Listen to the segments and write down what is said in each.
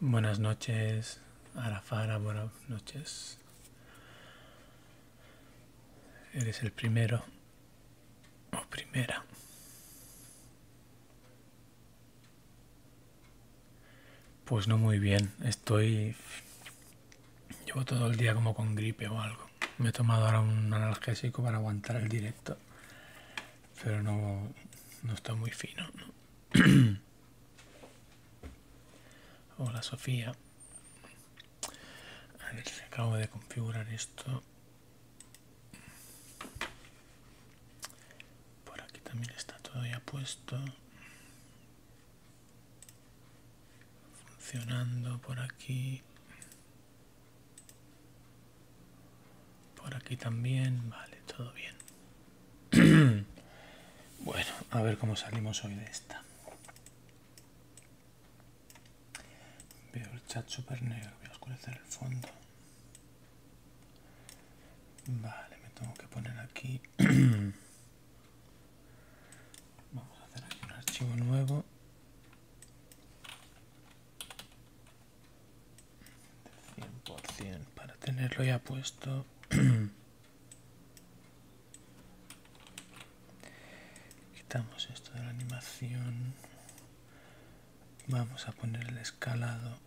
Buenas noches, Arafara, buenas noches. Eres el primero o oh, primera. Pues no muy bien, estoy... Llevo todo el día como con gripe o algo. Me he tomado ahora un analgésico para aguantar el directo. Pero no, no está muy fino. Hola Sofía. A ver acabo de configurar esto por aquí también está todo ya puesto funcionando por aquí por aquí también vale todo bien bueno a ver cómo salimos hoy de esta Veo el chat super negro, voy a oscurecer el fondo. Vale, me tengo que poner aquí. Vamos a hacer aquí un archivo nuevo. De 100% para tenerlo ya puesto. quitamos esto de la animación vamos a poner el escalado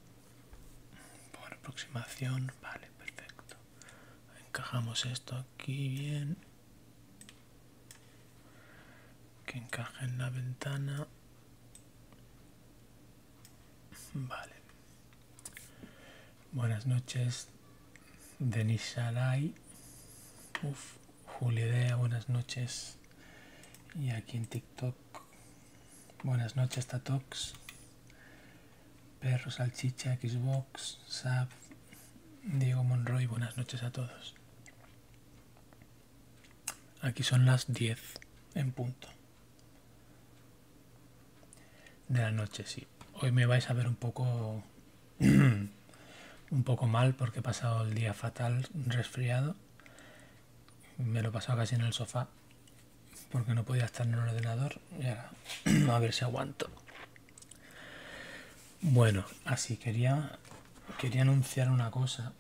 por aproximación vale perfecto encajamos esto aquí bien que encaje en la ventana vale buenas noches Denis Alay. Uf, Idea, buenas noches. Y aquí en TikTok, buenas noches, Tatox. Perro Salchicha, Xbox, Sab, Diego Monroy, buenas noches a todos. Aquí son las 10 en punto. De la noche, sí. Hoy me vais a ver un poco un poco mal porque he pasado el día fatal, resfriado. Me lo he pasado casi en el sofá porque no podía estar en el ordenador. Y ahora, a ver si aguanto. Bueno, así quería, quería anunciar una cosa.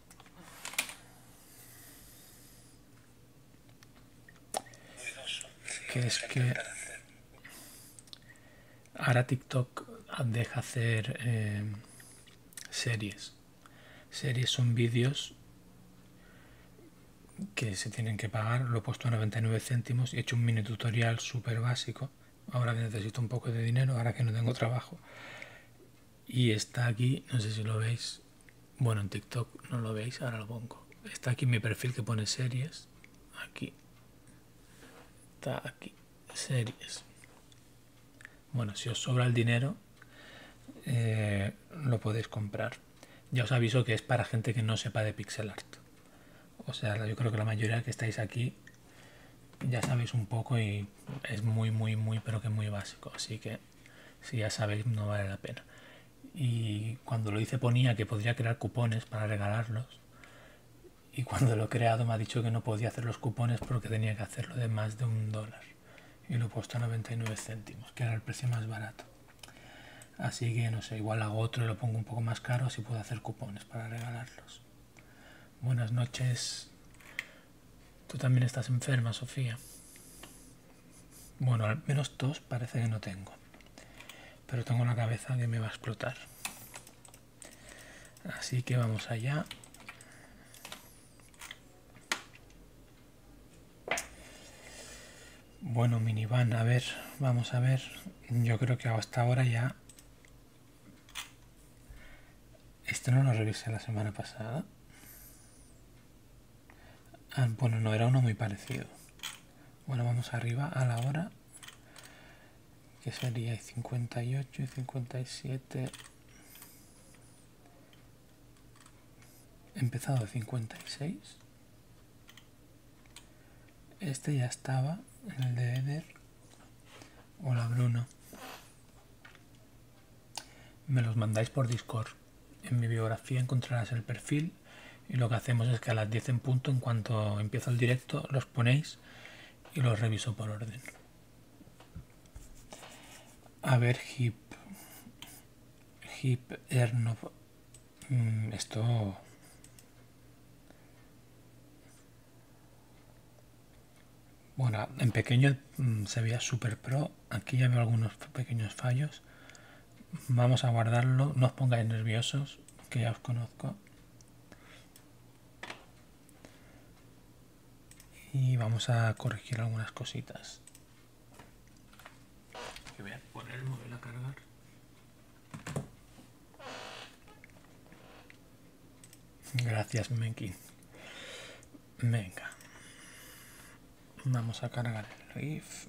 Que es que Ahora TikTok deja hacer eh, series. Series son vídeos que se tienen que pagar. Lo he puesto a 99 céntimos y he hecho un mini tutorial súper básico. Ahora necesito un poco de dinero, ahora que no tengo trabajo. Y está aquí, no sé si lo veis. Bueno, en TikTok no lo veis, ahora lo pongo. Está aquí mi perfil que pone series. Aquí. Está aquí. Series. Bueno, si os sobra el dinero, eh, lo podéis comprar. Ya os aviso que es para gente que no sepa de pixel art. O sea, yo creo que la mayoría que estáis aquí ya sabéis un poco y es muy, muy, muy, pero que muy básico. Así que si ya sabéis, no vale la pena. Y cuando lo hice ponía que podría crear cupones para regalarlos y cuando lo he creado me ha dicho que no podía hacer los cupones porque tenía que hacerlo de más de un dólar y lo he puesto a 99 céntimos que era el precio más barato así que no sé igual hago otro y lo pongo un poco más caro si puedo hacer cupones para regalarlos buenas noches tú también estás enferma Sofía bueno al menos dos parece que no tengo pero tengo una cabeza que me va a explotar Así que vamos allá. Bueno, minivan, a ver, vamos a ver. Yo creo que hasta ahora ya... Esto no lo revisé la semana pasada. Ah, bueno, no, era uno muy parecido. Bueno, vamos arriba a la hora que sería 58 y 57 empezado 56 este ya estaba en el de Eder hola Bruno me los mandáis por Discord en mi biografía encontrarás el perfil y lo que hacemos es que a las 10 en punto en cuanto empiezo el directo los ponéis y los reviso por orden a ver, hip. Hip Erno mm, Esto. Bueno, en pequeño mm, se veía super pro. Aquí ya veo algunos pequeños fallos. Vamos a guardarlo. No os pongáis nerviosos, que ya os conozco y vamos a corregir algunas cositas que voy a poner el móvil a cargar gracias Menki. venga vamos a cargar el riff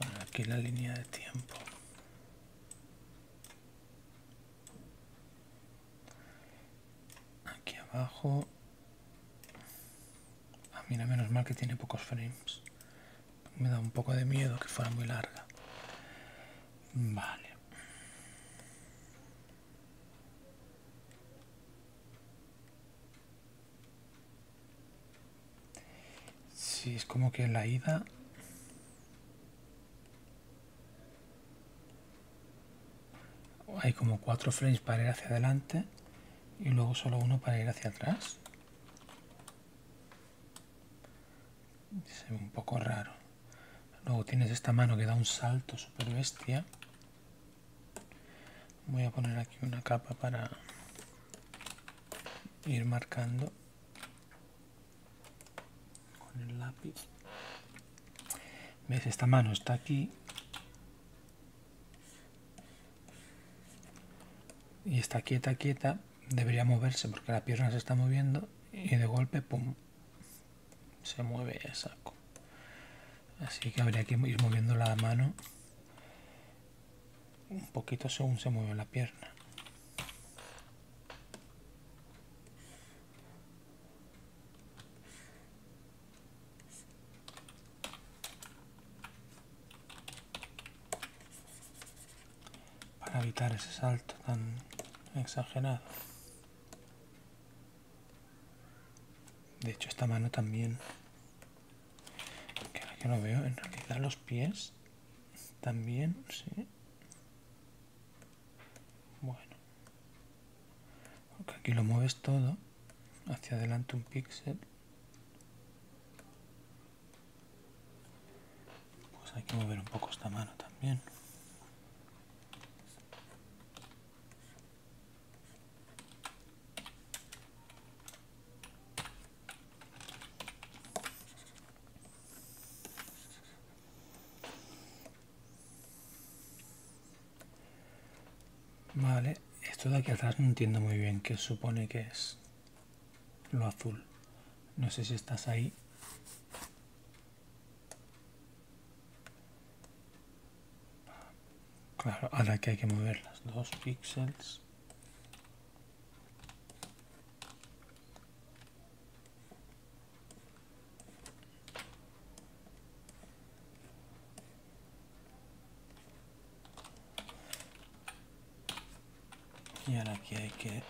Vamos a aquí la línea de tiempo. Aquí abajo. mí ah, mira, menos mal que tiene pocos frames. Me da un poco de miedo que fuera muy larga. Vale si, es como que en la ida... Hay como cuatro frames para ir hacia adelante y luego solo uno para ir hacia atrás. Se un poco raro. Luego tienes esta mano que da un salto super bestia voy a poner aquí una capa para ir marcando con el lápiz ves esta mano está aquí y está quieta quieta debería moverse porque la pierna se está moviendo y de golpe pum se mueve esa Así que habría que ir moviendo la mano un poquito según se mueve la pierna. Para evitar ese salto tan exagerado. De hecho, esta mano también. Que ahora lo veo, en realidad los pies también, sí. Bueno. Porque aquí lo mueves todo. Hacia adelante un píxel. Pues hay que mover un poco esta mano también. Vale, esto de aquí atrás no entiendo muy bien qué supone que es lo azul. No sé si estás ahí. Claro, ahora que hay que mover las dos píxeles. Y ahora aquí hay que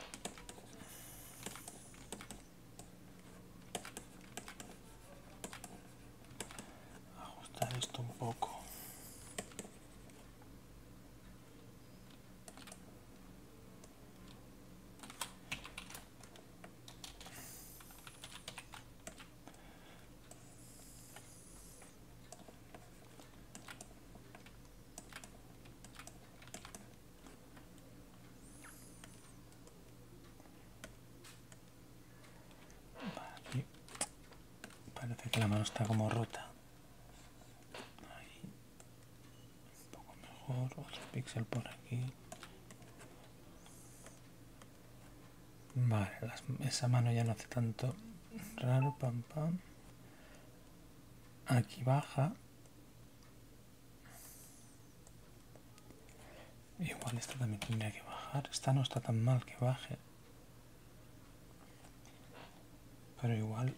ajustar esto un poco Vale. Parece que la mano está como rota. Un poco mejor. Otro píxel por aquí. Vale, esa mano ya no hace tanto raro, pam pam. Aquí baja. Igual esta también tendría que bajar. Esta no está tan mal que baje. Pero igual...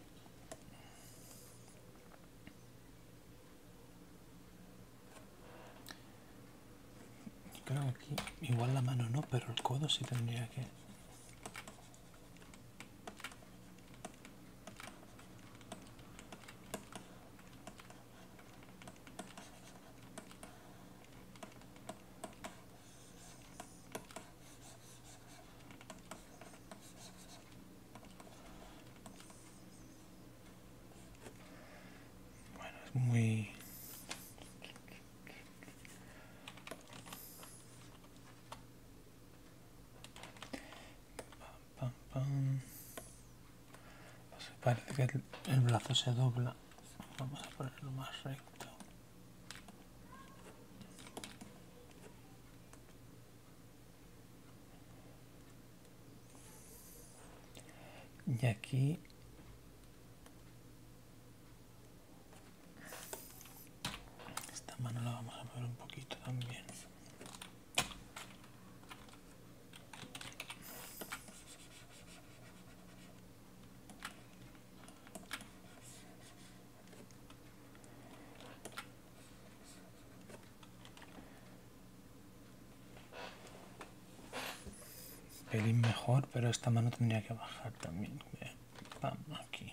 Creo que aquí... Igual la mano no, pero el codo sí tendría que... Bueno, es muy... Pam, pam, pam parece que el, brazo se dobla vamos a ponerlo más recto y aquí esta mano la vamos a mover un poquito también pelín mejor, pero esta mano tendría que bajar también. aquí.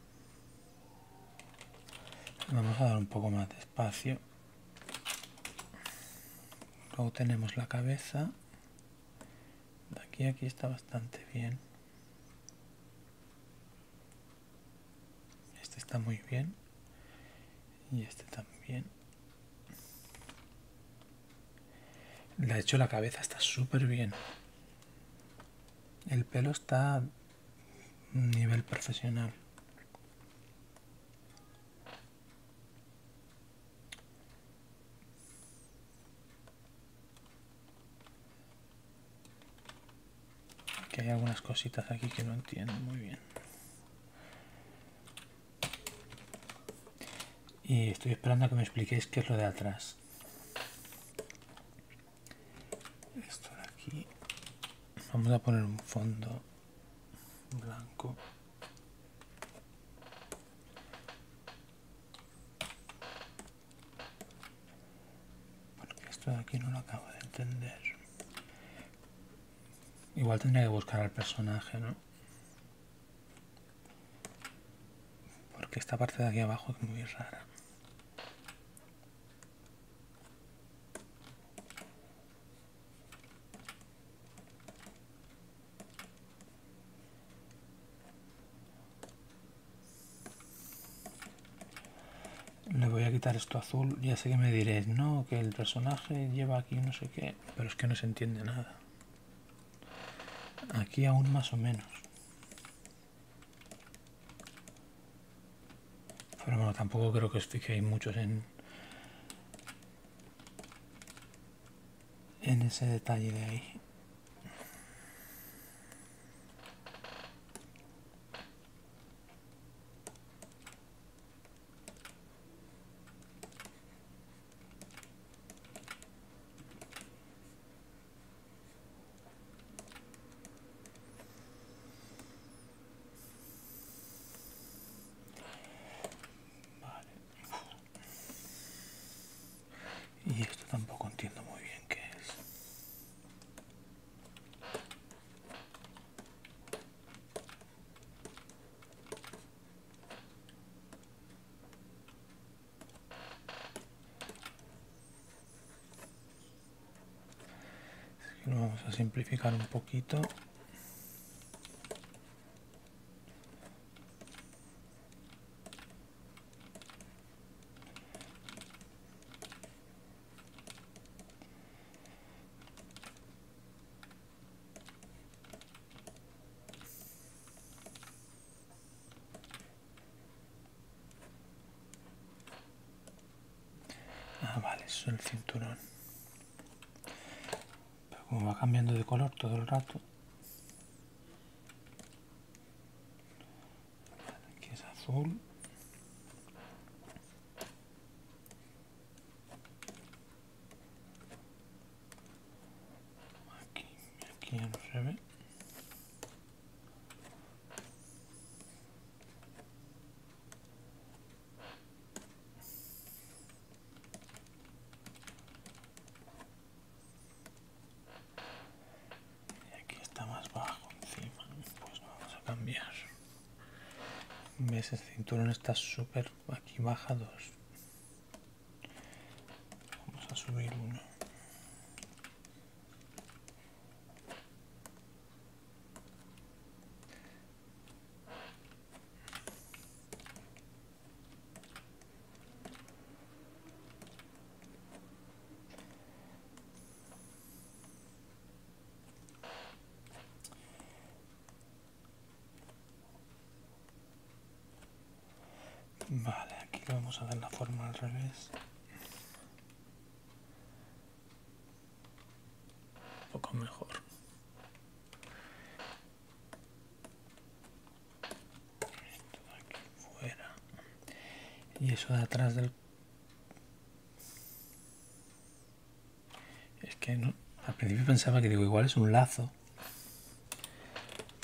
vamos a dar un poco más de espacio luego tenemos la cabeza de aquí a aquí está bastante bien este está muy bien y este también de hecho la cabeza está súper bien el pelo está nivel profesional que hay algunas cositas aquí que no entiendo muy bien y estoy esperando que me expliquéis qué es lo de atrás esto de aquí vamos a poner un fondo blanco porque esto de aquí no lo acabo de entender igual tendría que buscar al personaje no porque esta parte de aquí abajo es muy rara le voy a quitar esto azul ya sé que me diréis no que el personaje lleva aquí no sé qué pero es que no se entiende nada aquí aún más o menos pero bueno, tampoco creo que os fijéis muchos en, en ese detalle de ahí. Y esto tampoco entiendo muy bien qué es lo vamos a simplificar un poquito Ah, vale, eso es el cinturón. Pero como va cambiando de color todo el rato. aquí es azul. Aquí, aquí se ve. Y aquí está más bajo encima. Pues vamos a cambiar. ¿Ves? El cinturón está súper aquí baja dos. Vamos a subir uno. Vale, aquí vamos a dar la forma al revés un poco mejor y eso de atrás del es que no al principio pensaba que digo igual es un lazo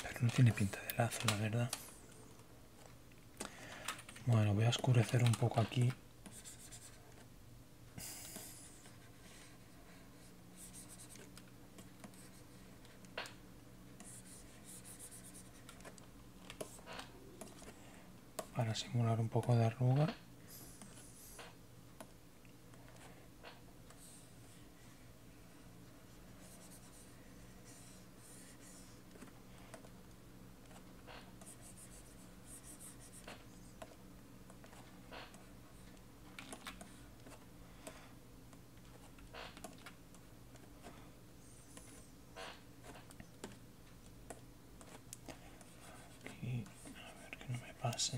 pero no tiene pinta de lazo la verdad bueno voy a oscurecer un poco aquí para simular un poco de arruga Aquí, a ver que no me pase.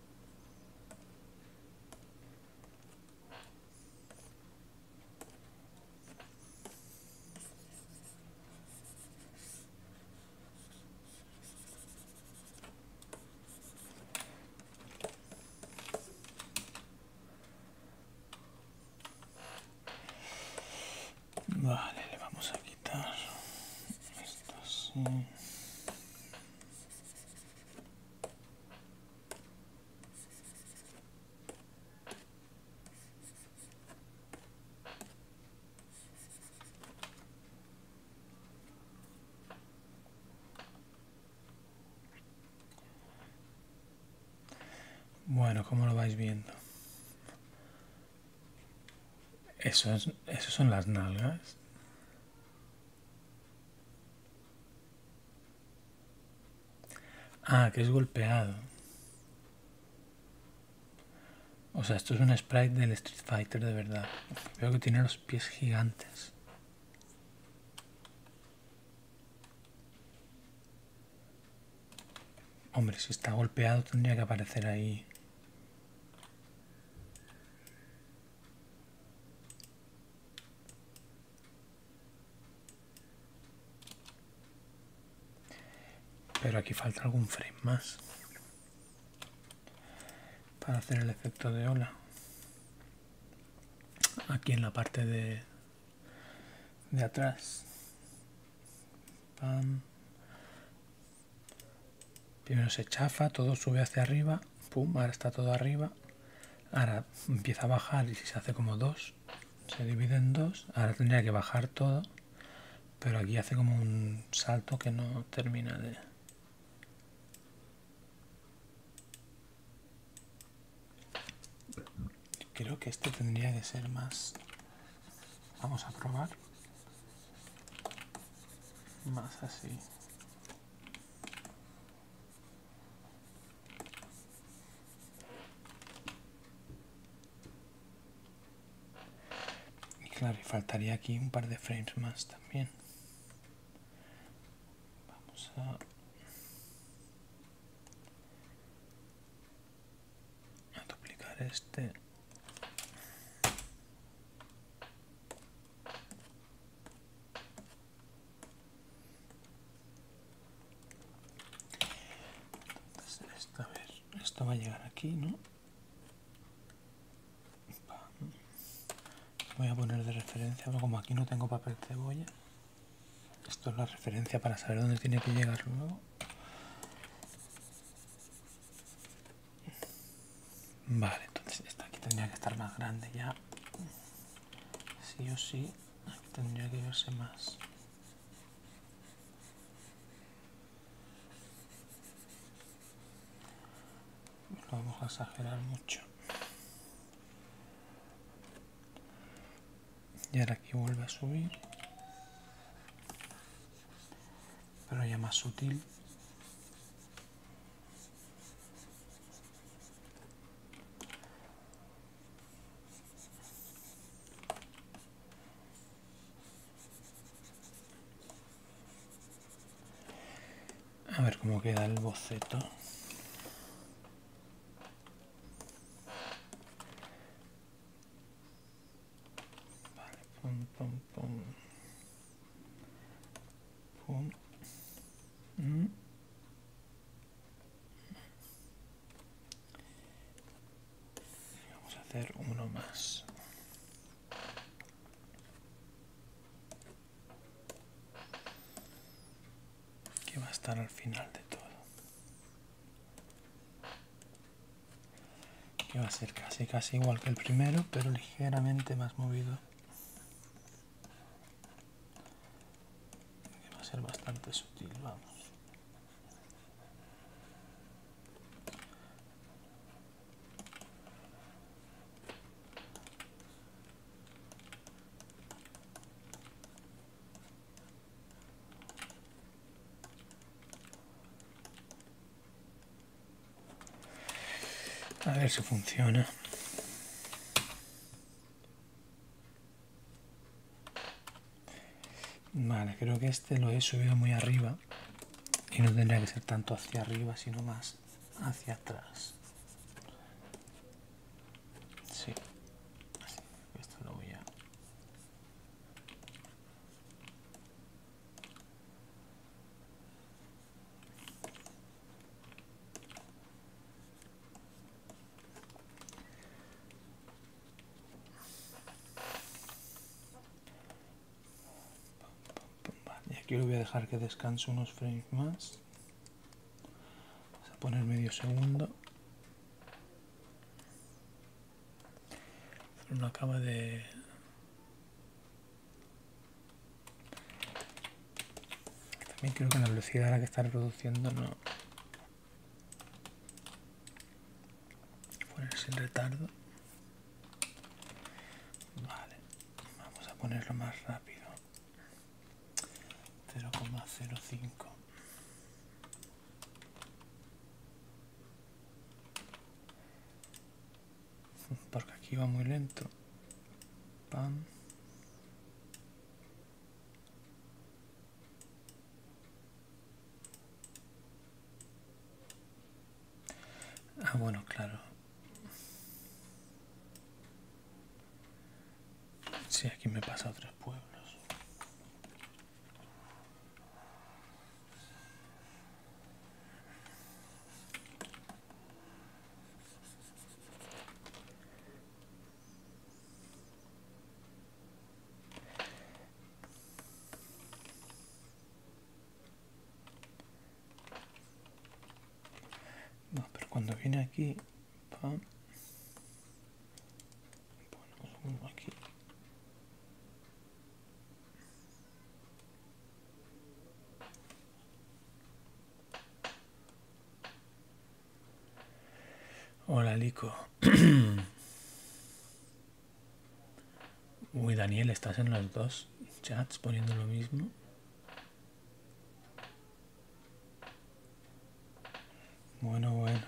Vale, le vamos a quitar esto así. Bueno, ¿cómo lo vais viendo? Eso, es, eso son las nalgas. Ah, que es golpeado. O sea, esto es un sprite del Street Fighter de verdad. Veo que tiene los pies gigantes. Hombre, si está golpeado tendría que aparecer ahí. Pero aquí falta algún frame más para hacer el efecto de ola. Aquí en la parte de, atrás. Pam, Primero se chafa, todo sube hacia arriba, pum, ahora está todo arriba. Ahora empieza a bajar y si se hace como dos, se divide en dos. Ahora tendría que bajar todo, pero aquí hace como un salto que no termina de... Creo que este tendría que ser más... Vamos a probar más así y claro faltaría aquí un par de frames más también vamos a a duplicar este esto, esto va a llegar aquí, ¿no? Voy a poner de referencia, como aquí no tengo papel cebolla, esto es la referencia para saber dónde tiene que llegar luego. Vale, entonces esta aquí tendría que estar más grande ya. Sí o sí, aquí tendría que verse más. Lo vamos a exagerar mucho. Y ahora aquí vuelve a subir pero ya más sutil. A ver cómo queda el boceto. Mm. Vamos a hacer uno más. Que va a estar al final de todo. Que va a ser casi casi igual que el primero, pero ligeramente más movido va a ser bastante sutil, vamos. A ver si funciona. Vale, creo que este lo he subido muy arriba y no tendría que ser tanto hacia arriba, sino más hacia atrás. Sí. Así, esto lo voy a... Y aquí lo voy a dejar que descanse unos frames más. Vamos a poner medio segundo. Una cama de también creo que la velocidad a la que está reproduciendo no... ponerse sin retardo. Vale, vamos a ponerlo más rápido. 0,05 porque aquí va muy lento ah bueno claro si aquí me pasa a tres pueblos no, pero cuando viene aquí, pam, uno aquí. Hola, Lico. Uy, Daniel, estás en los dos chats poniendo lo mismo. Bueno, bueno.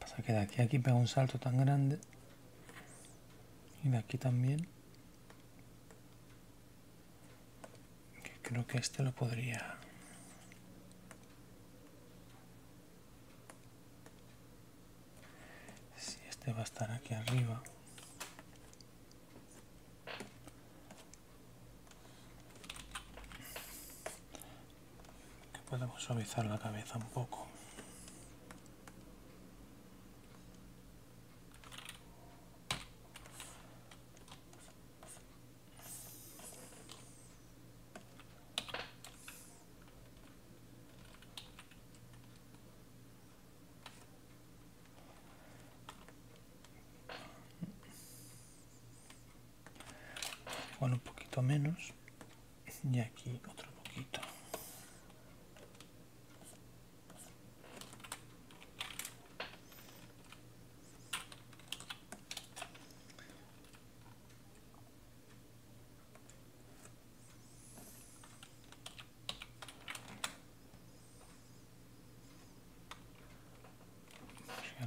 Pasa que de aquí a aquí pega un salto tan grande y de aquí también creo que este lo podría si este va a estar aquí arriba que podemos suavizar la cabeza un poco bueno, un poquito menos y aquí otro poquito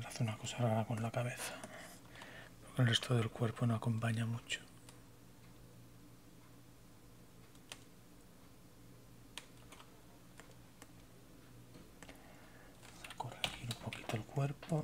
hace una cosa rara con la cabeza el resto del cuerpo no acompaña mucho Vamos a corregir un poquito el cuerpo.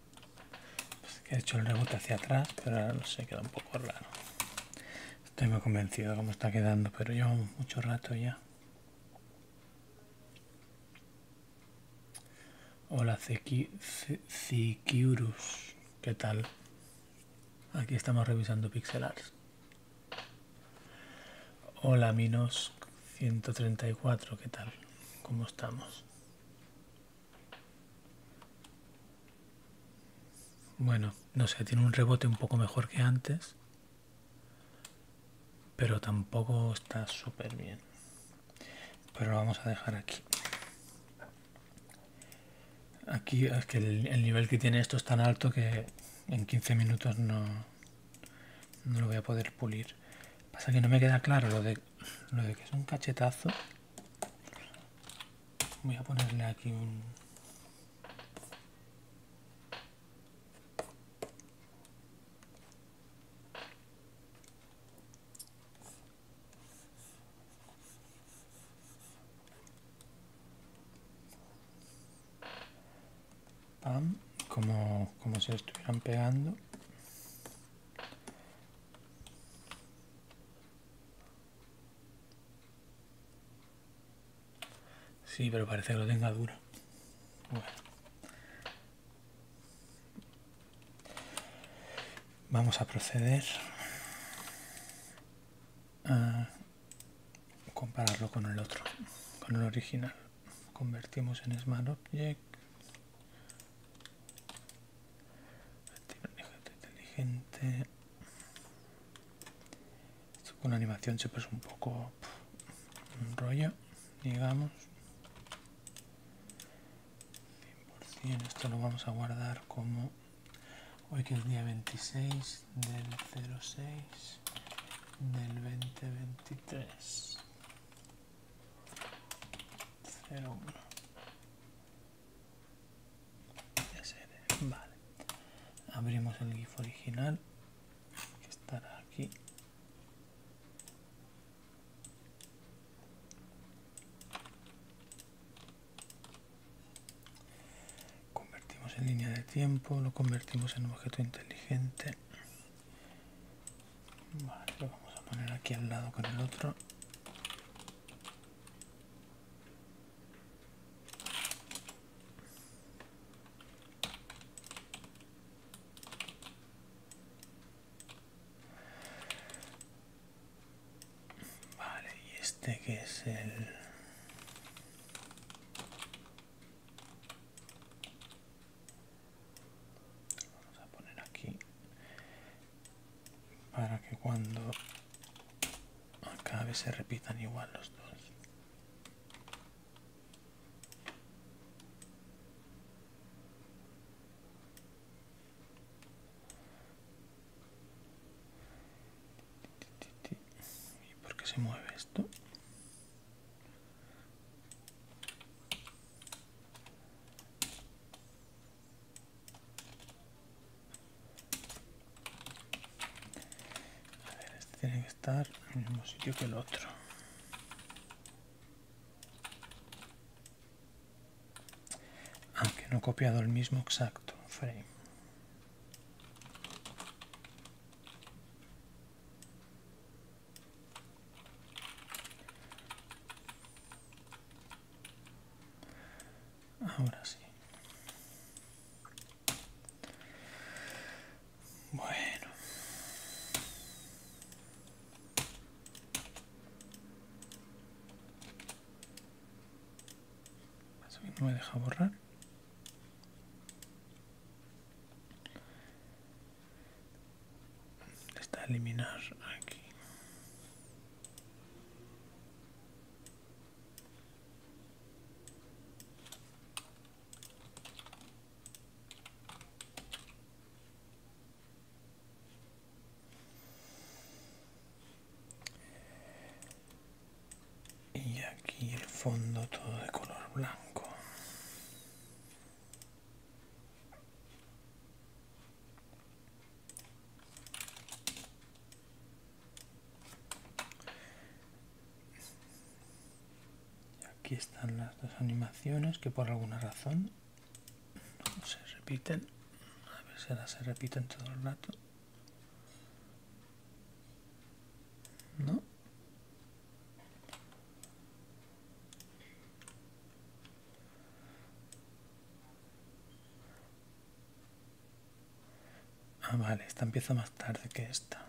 Pues que he hecho el rebote hacia atrás pero ahora no sé queda un poco raro estoy muy convencido de cómo está quedando pero llevamos mucho rato ya hola Cikiurus, qué tal aquí estamos revisando pixel hola minos 134 qué tal cómo estamos bueno, no sé, tiene un rebote un poco mejor que antes. Pero tampoco está súper bien. Pero vamos a dejar aquí. Aquí es que el, nivel que tiene esto es tan alto que en 15 minutos no, lo voy a poder pulir. Pasa que no me queda claro lo de que es un cachetazo. Voy a ponerle aquí un... Pam, como, como si estuvieran pegando. Sí, pero parece que lo tenga duro. Vamos a proceder a compararlo con el otro, con el original. Convertimos en Smart Object inteligente. Esto con animación siempre es un poco un rollo, digamos. 100%, esto lo vamos a guardar como hoy que es día 26 del 06 del 2023. 01. Abrimos el GIF original que estará aquí. Convertimos en línea de tiempo, lo convertimos en objeto inteligente Vale, lo vamos a poner aquí al lado con el otro. Vale, y este que es el... Vamos a poner aquí para que cuando acabe se repitan igual los dos ¿Y se mueve esto? este tiene que estar en el mismo sitio que el otro. Aunque no he copiado el mismo exacto frame. Ahora sí. Bueno. no me deja borrar. Está eliminar aquí y aquí el fondo todo de color blanco Aquí están las dos animaciones que por alguna razón no se repiten. A ver si las se repiten todo el rato. ¿No? Ah, vale, esta empieza más tarde que esta.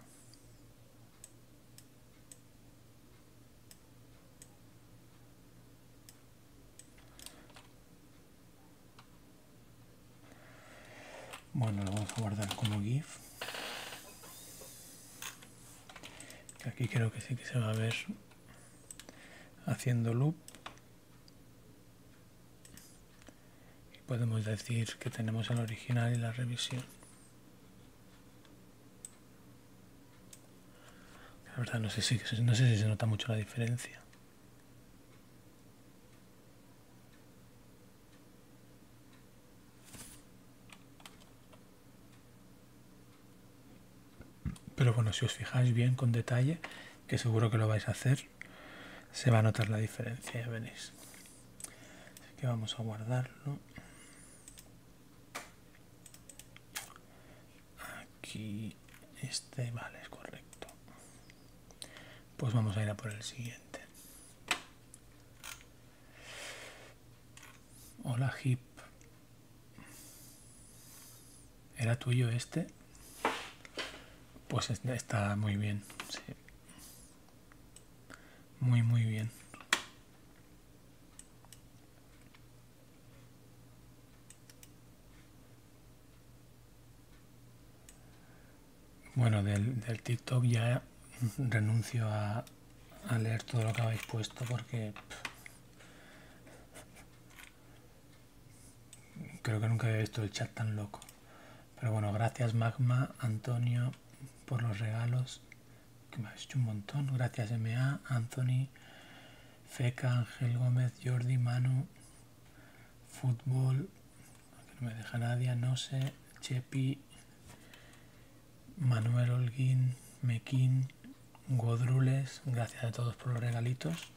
Bueno, lo vamos a guardar como GIF. aquí creo que sí que se va a ver haciendo loop y podemos decir que tenemos el original y la revisión la verdad no sé si, no sé si se nota mucho la diferencia pero bueno, si os fijáis bien con detalle, que seguro que lo vais a hacer, se va a notar la diferencia, ya veréis. Así que vamos a guardarlo. Aquí, este, vale, es correcto. Pues vamos a ir a por el siguiente. Hola, Hip. ¿Era tuyo este? Pues está muy bien, Muy, muy bien. Bueno, del, del TikTok ya renuncio a, a leer todo lo que habéis puesto porque Creo que nunca había visto el chat tan loco. Pero bueno, gracias Magma, Antonio, por los regalos. Que me ha hecho un montón. Gracias MA, Anthony, Feca, Ángel Gómez, Jordi, Manu, Fútbol, no me deja nadie, no sé, Chepi, Manuel Holguín, Mekín. Godrules, gracias a todos por los regalitos.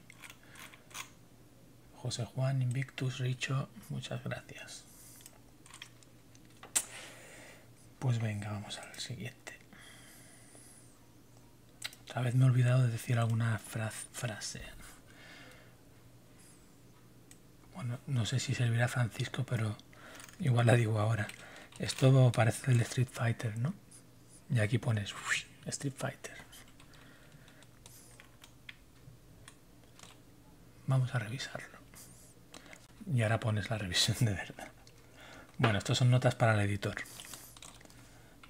José Juan, Invictus, Richo, muchas gracias. Pues venga, vamos al siguiente. Tal vez me he olvidado de decir alguna frase. Bueno, no sé si servirá Francisco, pero igual la digo ahora. Esto parece el Street Fighter, ¿no? Y aquí pones Street Fighter. Vamos a revisarlo. Y ahora pones la revisión de verdad. Bueno, estas son notas para el editor.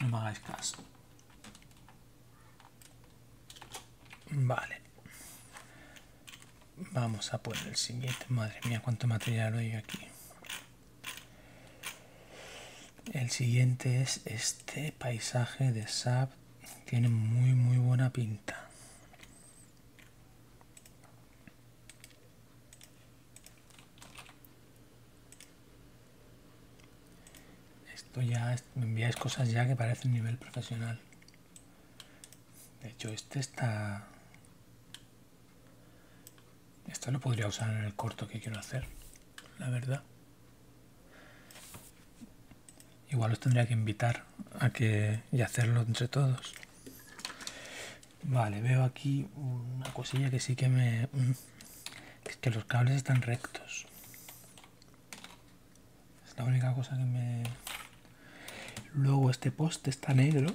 No me hagáis caso. Vale. Vamos a poner el siguiente. Madre mía, cuánto material hay aquí. El siguiente es este paisaje de SAP. Tiene muy muy buena pinta. Esto ya me enviáis cosas ya que un nivel profesional. De hecho, este está esto lo podría usar en el corto que quiero hacer, la verdad. Igual los tendría que invitar a que y hacerlo entre todos. Vale, veo aquí una cosilla que sí que me... Mm, que los cables están rectos. Es la única cosa que me... Luego este poste está negro.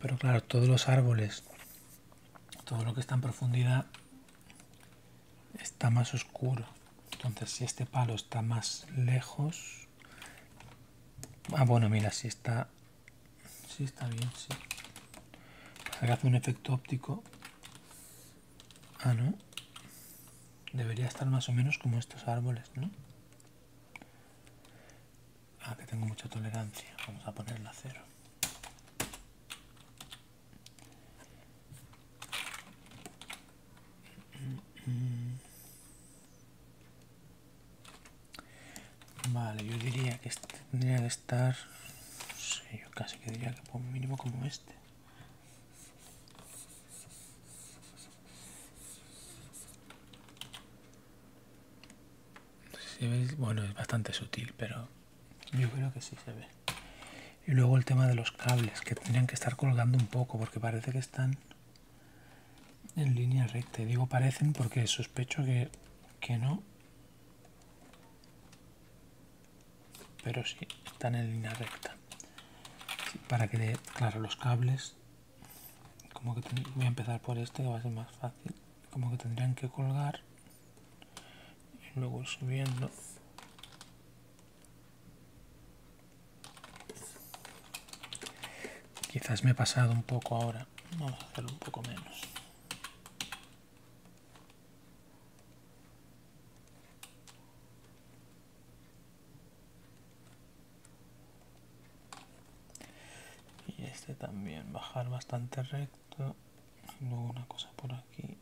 Pero claro, todos los árboles, todo lo que está en profundidad está más oscuro. Entonces, si este palo está más lejos... Ah, bueno, mira, si está... si está bien, si hace un efecto óptico. Ah, ¿no? Debería estar más o menos como estos árboles, ¿no? Ah, que tengo mucha tolerancia. Vamos a ponerla a cero. Vale, yo diría que este tendría que estar... No sé, yo casi que diría que por mínimo como este si se bueno, es bastante sutil, pero yo creo que sí se ve. Y luego el tema de los cables, que tendrían que estar colgando un poco, porque parece que están en línea recta. digo parecen porque sospecho que, no. Pero sí, están en línea recta. para que, claro, los cables, como que voy a empezar por este, que va a ser más fácil, como que tendrían que colgar y luego subiendo quizás me he pasado un poco ahora vamos a hacerlo un poco menos y este también bajar bastante recto luego una cosa por aquí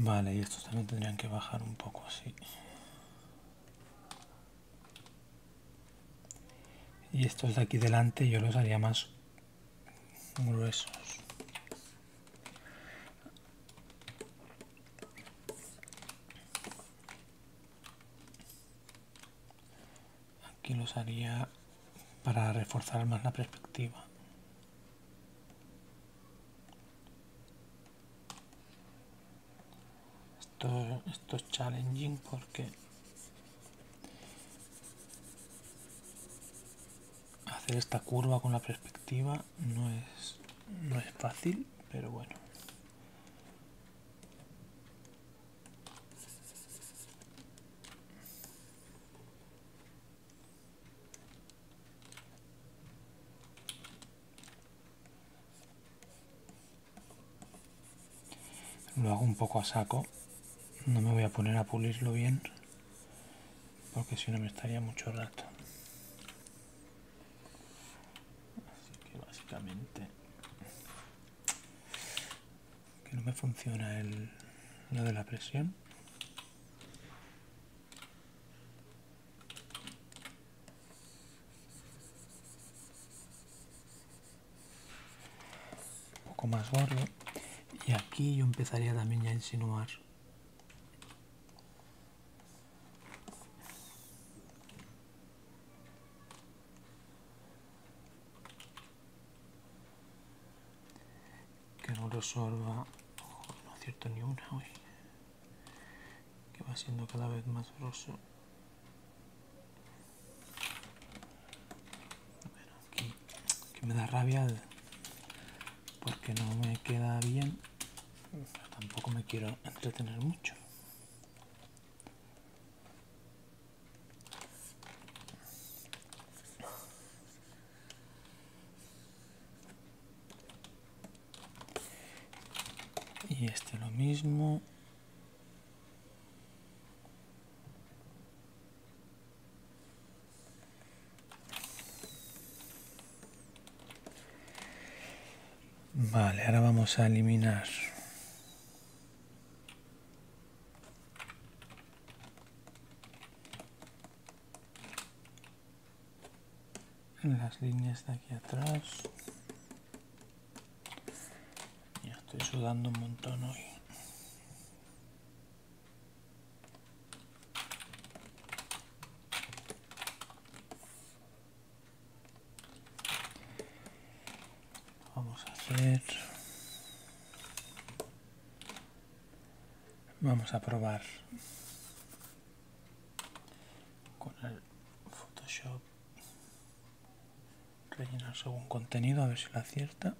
Vale, y estos también tendrían que bajar un poco así. Y estos de aquí delante yo los haría más gruesos. Aquí los haría para reforzar más la perspectiva. Esto, esto es challenging porque hacer esta curva con la perspectiva no es, no es fácil, pero bueno. Lo hago un poco a saco, no me voy a poner a pulirlo bien porque si no me estaría mucho rato así que básicamente que no me funciona el lo de la presión un poco más gordo y aquí yo empezaría también a insinuar que no resuelva no acierto ni una hoy que va siendo cada vez más grosso que me da rabia porque no me queda bien. tampoco me quiero entretener mucho. Y este lo mismo. Vale, ahora vamos a eliminar las líneas de aquí atrás. Ya estoy sudando un montón hoy. Vamos a hacer... Vamos a probar con el Photoshop. Rellenar según contenido, a ver si la acierta.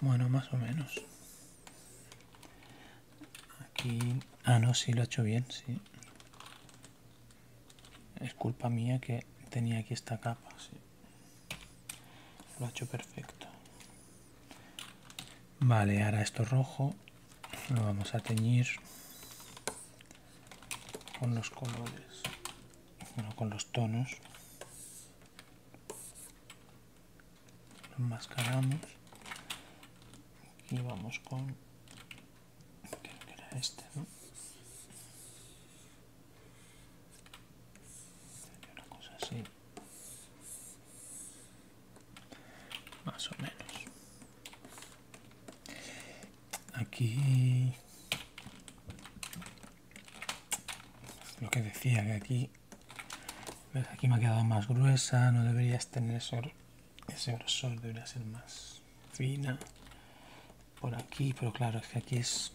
Bueno, más o menos. Aquí... Ah, no, si lo ha hecho bien, sí. Es culpa mía que tenía aquí esta capa, Lo ha hecho perfecto. Vale, ahora esto rojo lo vamos a teñir con los colores, bueno, con los tonos. Lo enmascaramos y vamos con creo que era este, ¿no? Sería una cosa así más o menos aquí lo que decía que aquí aquí me ha quedado más gruesa no deberías tener ese grosor debería ser más fina por aquí pero claro es que aquí es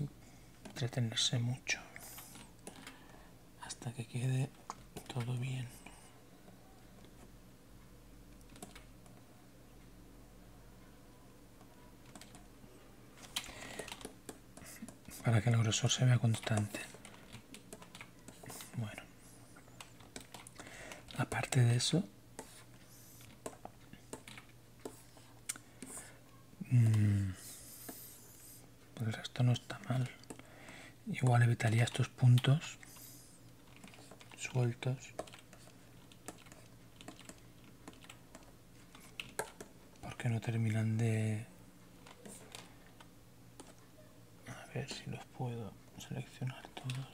entretenerse mucho hasta que quede todo bien para que el grosor se vea constante. Bueno, aparte de eso, mmm, el pues esto no está mal igual evitaría estos puntos sueltos porque no terminan de a ver si los puedo seleccionar todos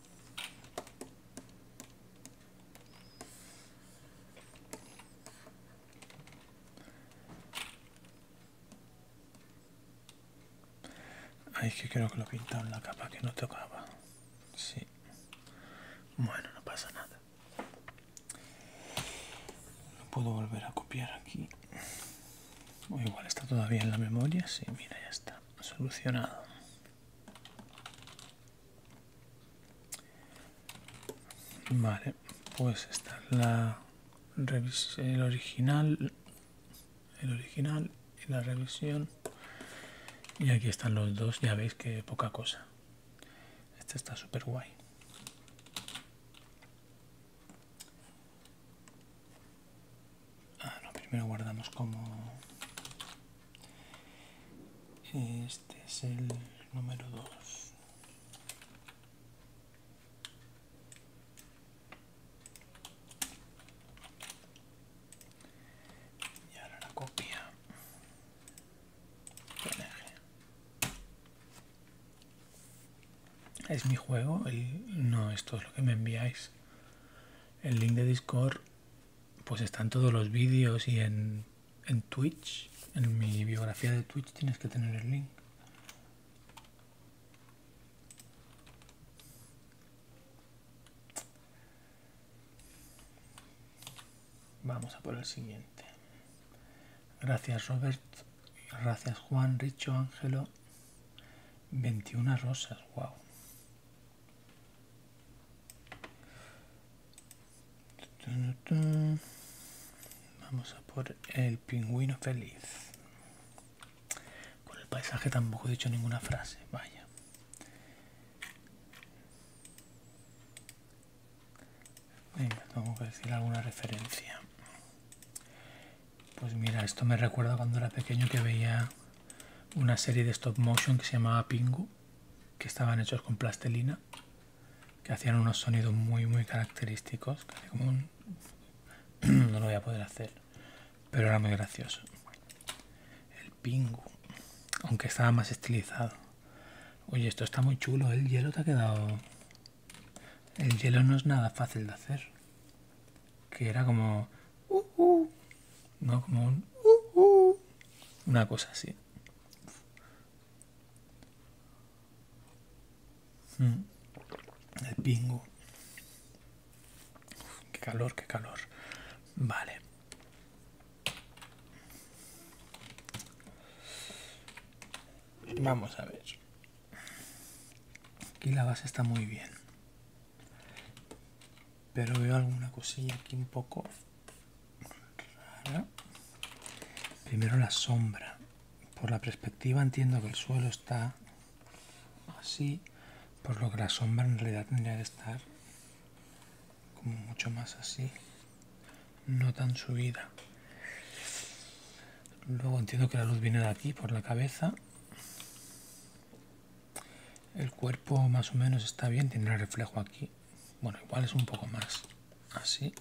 Ay, es que creo que lo he pintado en la capa que no tocaba. Sí. Bueno, no pasa nada. Lo puedo volver a copiar aquí. O igual está todavía en la memoria. Sí, mira, ya está. Solucionado. Vale, pues está la revisión, el original, el original y la revisión. Y aquí están los dos, ya veis que poca cosa. Este está súper guay. Ah, primero guardamos como este es el número 2. Y ahora la copia. Es mi juego, y no, esto es lo que me enviáis. El link de Discord pues están todos los vídeos y en, en Twitch, en mi biografía de Twitch tienes que tener el link. Vamos a por el siguiente. Gracias Robert, gracias Juan, Richo, Ángelo. 21 rosas, wow. Vamos a por el pingüino feliz. con el paisaje tampoco he dicho ninguna frase, vaya. tengo que decir alguna referencia. Pues mira, esto me recuerda cuando era pequeño que veía una serie de stop motion que se llamaba Pingu que estaban hechos con plastelina, que hacían unos sonidos muy, muy característicos, como no lo voy a poder hacer, pero era muy gracioso. El pingu, aunque estaba más estilizado. Oye, esto está muy chulo, el hielo te ha quedado... El hielo no es nada fácil de hacer. Que era como Uh, uh. ¿no? Como un, uh, una cosa así. Mm. El pingo. qué calor, qué calor. Vale. Vamos a ver. Aquí la base está muy bien pero veo alguna cosilla aquí un poco rara primero la sombra por la perspectiva entiendo que el suelo está así por lo que la sombra en realidad tendría que estar como mucho más así no tan subida luego entiendo que la luz viene de aquí por la cabeza el cuerpo más o menos está bien, tiene el reflejo aquí. Bueno, igual es un poco más así.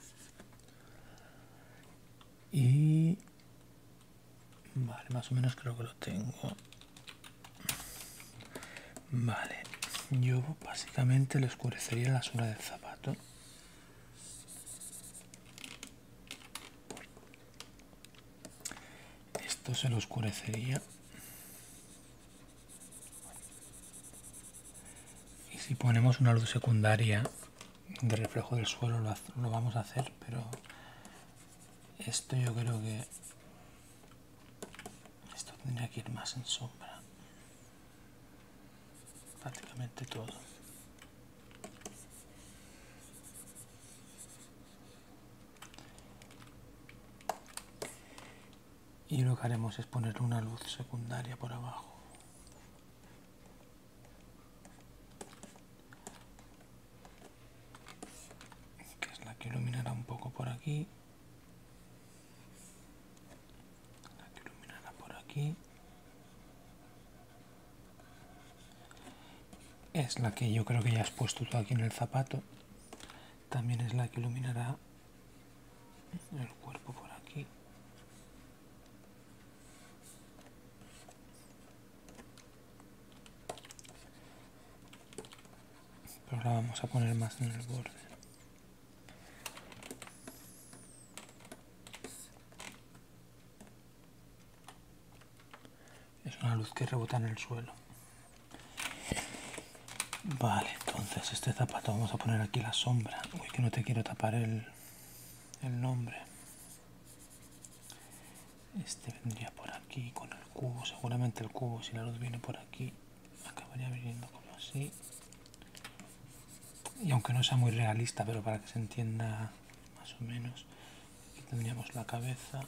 Y... Vale, más o menos creo que lo tengo. Vale, yo básicamente le oscurecería la zona del zapato. Esto se lo oscurecería y si ponemos una luz secundaria de reflejo del suelo lo, vamos a hacer, pero esto yo creo que esto tendría que ir más en sombra. Prácticamente todo y lo que haremos es poner una luz secundaria por abajo. Que es la que iluminará un poco por aquí. La que iluminará por aquí. Es la que yo creo que ya has puesto tú aquí en el zapato también es la que iluminará el cuerpo por aquí pero la vamos a poner más en el borde es una luz que rebota en el suelo Vale, entonces este zapato vamos a poner aquí la sombra. Uy, que no te quiero tapar el, nombre. Este vendría por aquí con el cubo. Seguramente el cubo, si la luz viene por aquí, acabaría viniendo como así. Y aunque no sea muy realista, pero para que se entienda más o menos, aquí tendríamos la cabeza.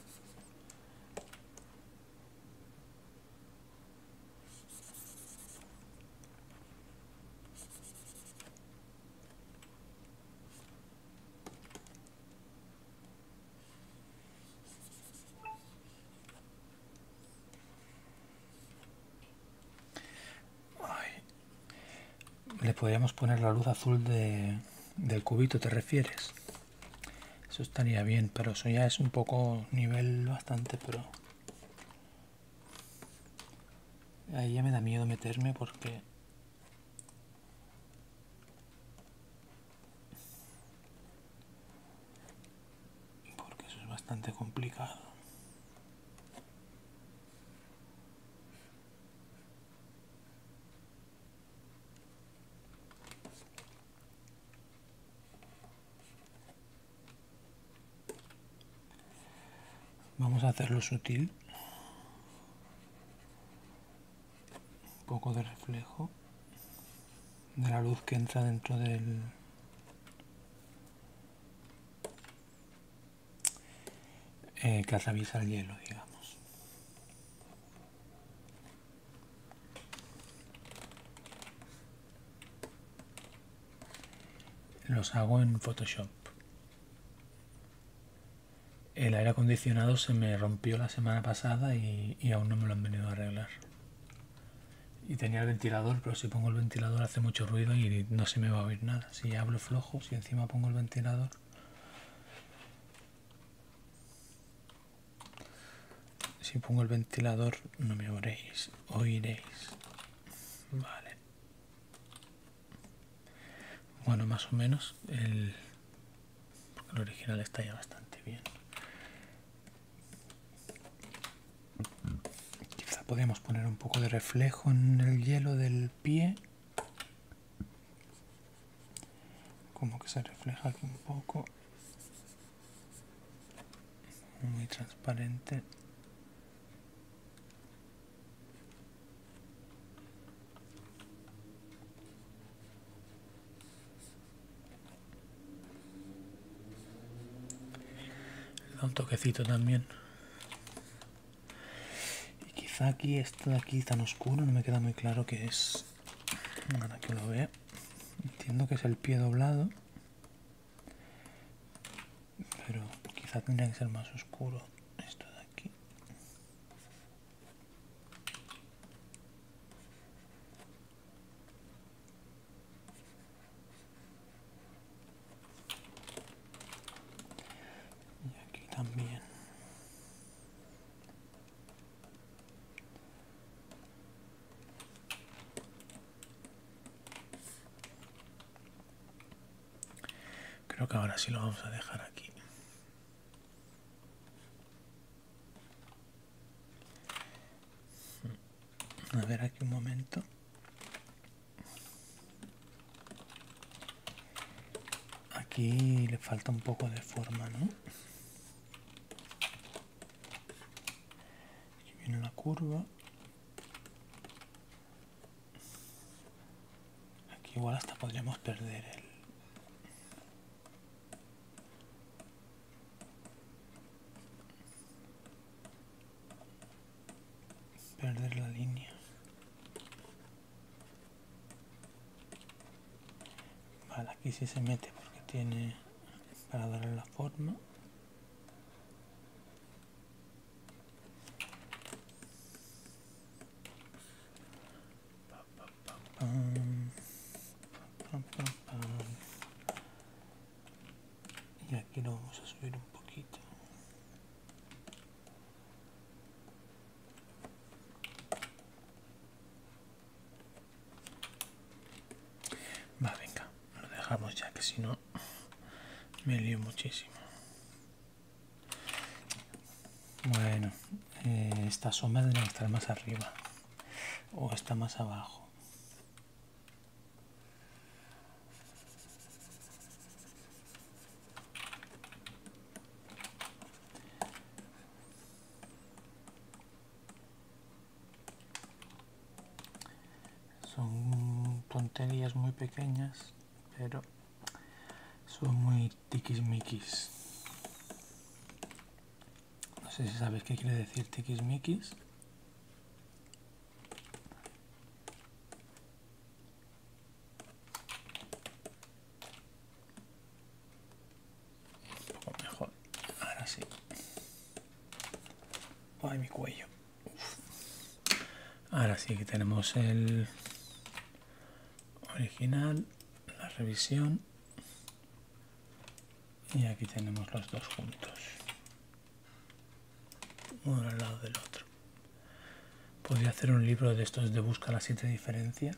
Le podríamos poner la luz azul de, del cubito, ¿te refieres? Eso estaría bien, pero eso ya es un poco nivel bastante pro. Ahí ya me da miedo meterme porque... Porque eso es bastante complicado. Vamos a hacerlo sutil. Un poco de reflejo de la luz que entra dentro del... Eh, que atraviesa el hielo, digamos. Los hago en Photoshop. El aire acondicionado se me rompió la semana pasada y, aún no me lo han venido a arreglar. Y tenía el ventilador, pero si pongo el ventilador hace mucho ruido y no se me va a oír nada. Si hablo flojo, si encima pongo el ventilador... Si pongo el ventilador no me oiréis oiréis. Vale. Bueno, más o menos el, original está ya bastante bien. Quizá podríamos poner un poco de reflejo en el hielo del pie. Como que se refleja aquí un poco muy transparente le da un toquecito también y quizá aquí está de aquí tan oscuro no me queda muy claro que es para que lo vea Entiendo que es el pie doblado, pero quizá tendría que ser más oscuro esto de aquí. Y aquí también. Creo que ahora sí lo vamos a dejar aquí. A ver aquí un momento. Aquí le falta un poco de forma, ¿no? Aquí viene la curva. Aquí igual hasta podríamos perder el... Perder la línea. Vale, aquí sí se mete porque tiene para darle la forma y aquí lo vamos a subir un poquito Va, venga, lo dejamos ya que si no me lío muchísimo. Bueno, eh, esta sombra debe estar más arriba o está más abajo. Son tonterías muy pequeñas, pero son muy tiquismiquis. No sé si sabes qué quiere decir mikis. Un poco mejor. Ahora sí. Ay, mi cuello. Ahora sí que tenemos el original, la revisión. Y aquí tenemos los dos juntos. Uno al lado del otro. Podría hacer un libro de estos de busca las siete diferencias.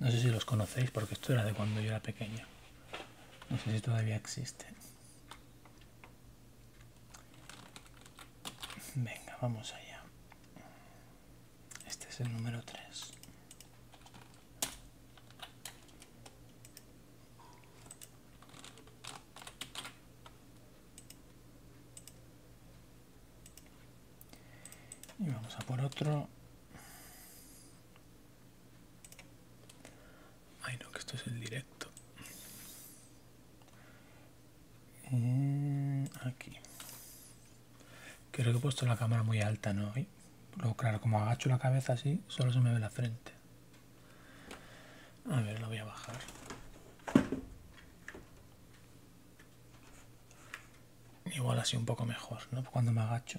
No sé si los conocéis porque esto era de cuando yo era pequeña. No sé si todavía existe. Venga, vamos allá. Este es el número 3. Y vamos a por otro. Ay no, que esto es el directo. Mm, aquí. Creo que he puesto la cámara muy alta, ¿no? Y claro, como agacho la cabeza así, solo se me ve la frente. A ver, lo voy a bajar. Igual así un poco mejor, ¿no? Cuando me agacho.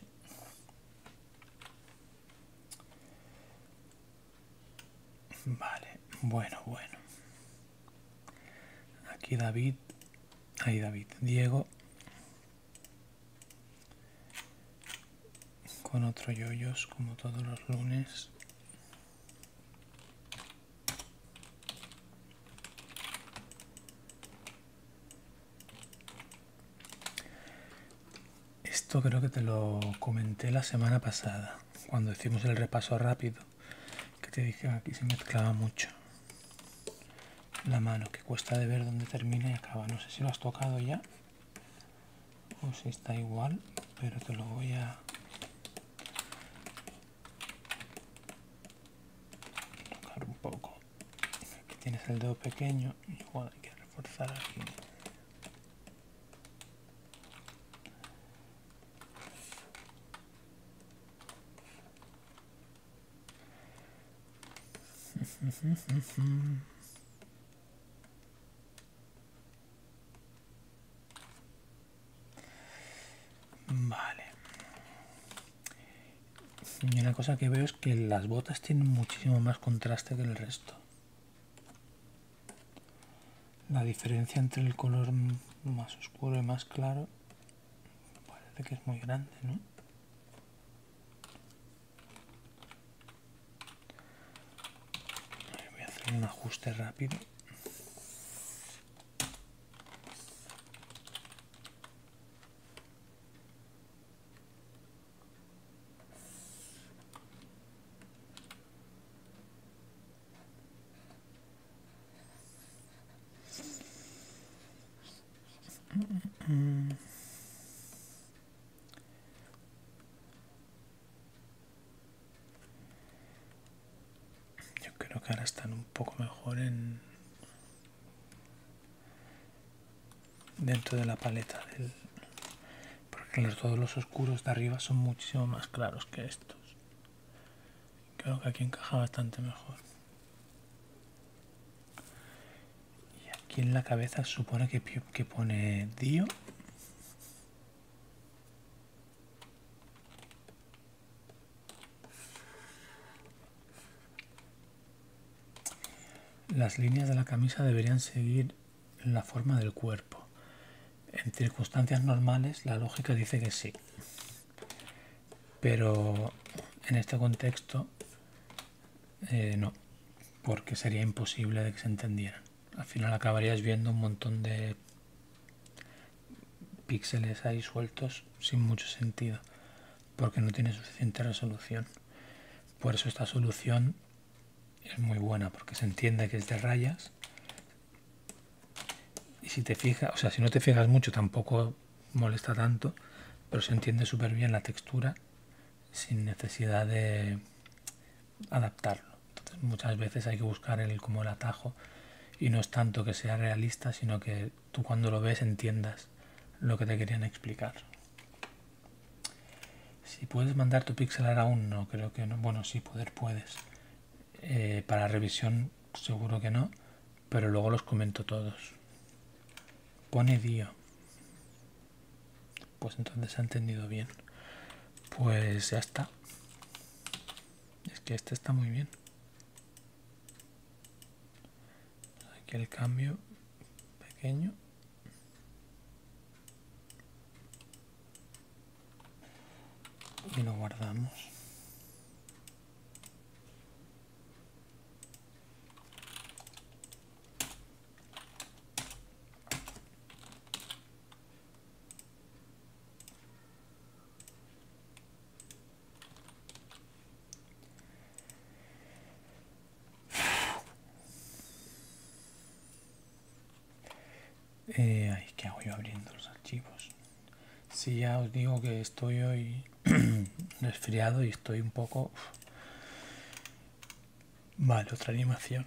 Vale, bueno, bueno. Aquí David. Ahí David. Diego. Con otro yoyos como todos los lunes. Esto creo que te lo comenté la semana pasada, cuando hicimos el repaso rápido, que te dije aquí se mezclaba mucho la mano, que cuesta de ver dónde termina y acaba. No sé si lo has tocado ya o si está igual, pero te lo voy a... tocar un poco aquí tienes el dedo pequeño igual hay que reforzar aquí Vale, y una cosa que veo es que las botas tienen muchísimo más contraste que el resto. La diferencia entre el color más oscuro y más claro parece que es muy grande, Voy a hacer un ajuste rápido. Yo creo que ahora están un poco mejor en dentro de la paleta porque todos los oscuros de arriba son muchísimo más claros que estos creo que aquí encaja bastante mejor y aquí en la cabeza supone que, que pone Dio las líneas de la camisa deberían seguir la forma del cuerpo. En circunstancias normales la lógica dice que sí. Pero en este contexto eh, no, porque sería imposible de que se entendieran. Al final acabarías viendo un montón de píxeles ahí sueltos sin mucho sentido, porque no tiene suficiente resolución. Por eso esta solución es muy buena, porque se entiende que es de rayas. Y si te fijas, o sea, si no te fijas mucho tampoco molesta tanto, pero se entiende súper bien la textura sin necesidad de adaptarlo. Entonces, muchas veces hay que buscar el, como el atajo y no es tanto que sea realista, sino que tú cuando lo ves entiendas lo que te querían explicar. Si puedes mandar tu pixelar aún no, creo que no. Bueno, si poder puedes. Eh, para revisión seguro que no, pero luego los comento todos. Pone Dio. Pues entonces se ha entendido bien. Pues ya está. Es que este está muy bien aquí el cambio pequeño y lo guardamos eh, ¿Qué hago yo abriendo los archivos? Si ya os digo que estoy hoy resfriado y estoy un poco... Vale, otra animación.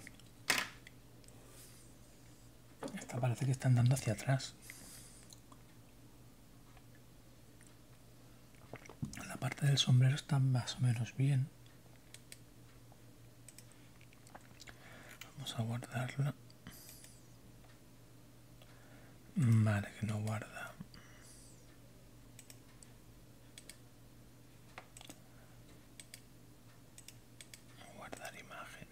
Esta parece que están dando hacia atrás. La parte del sombrero está más o menos bien. Vamos a guardarla. Vale, que no guarda. Guardar imagen.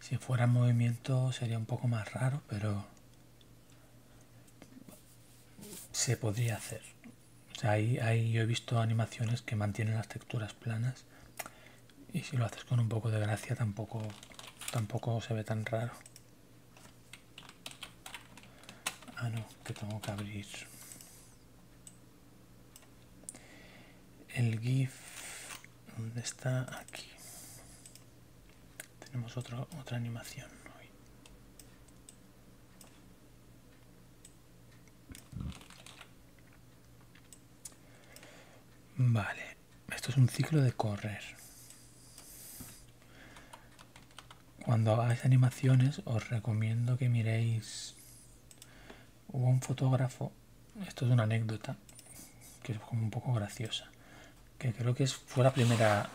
Si fuera movimiento sería un poco más raro, pero se podría hacer. O sea, ahí, ahí yo he visto animaciones que mantienen las texturas planas y si lo haces con un poco de gracia tampoco, tampoco se ve tan raro. Ah, no, que tengo que abrir el GIF ¿dónde está aquí tenemos otra otra animación vale esto es un ciclo de correr cuando hagáis animaciones os recomiendo que miréis hubo un fotógrafo, esto es una anécdota, que es como un poco graciosa, que creo que fue la primera,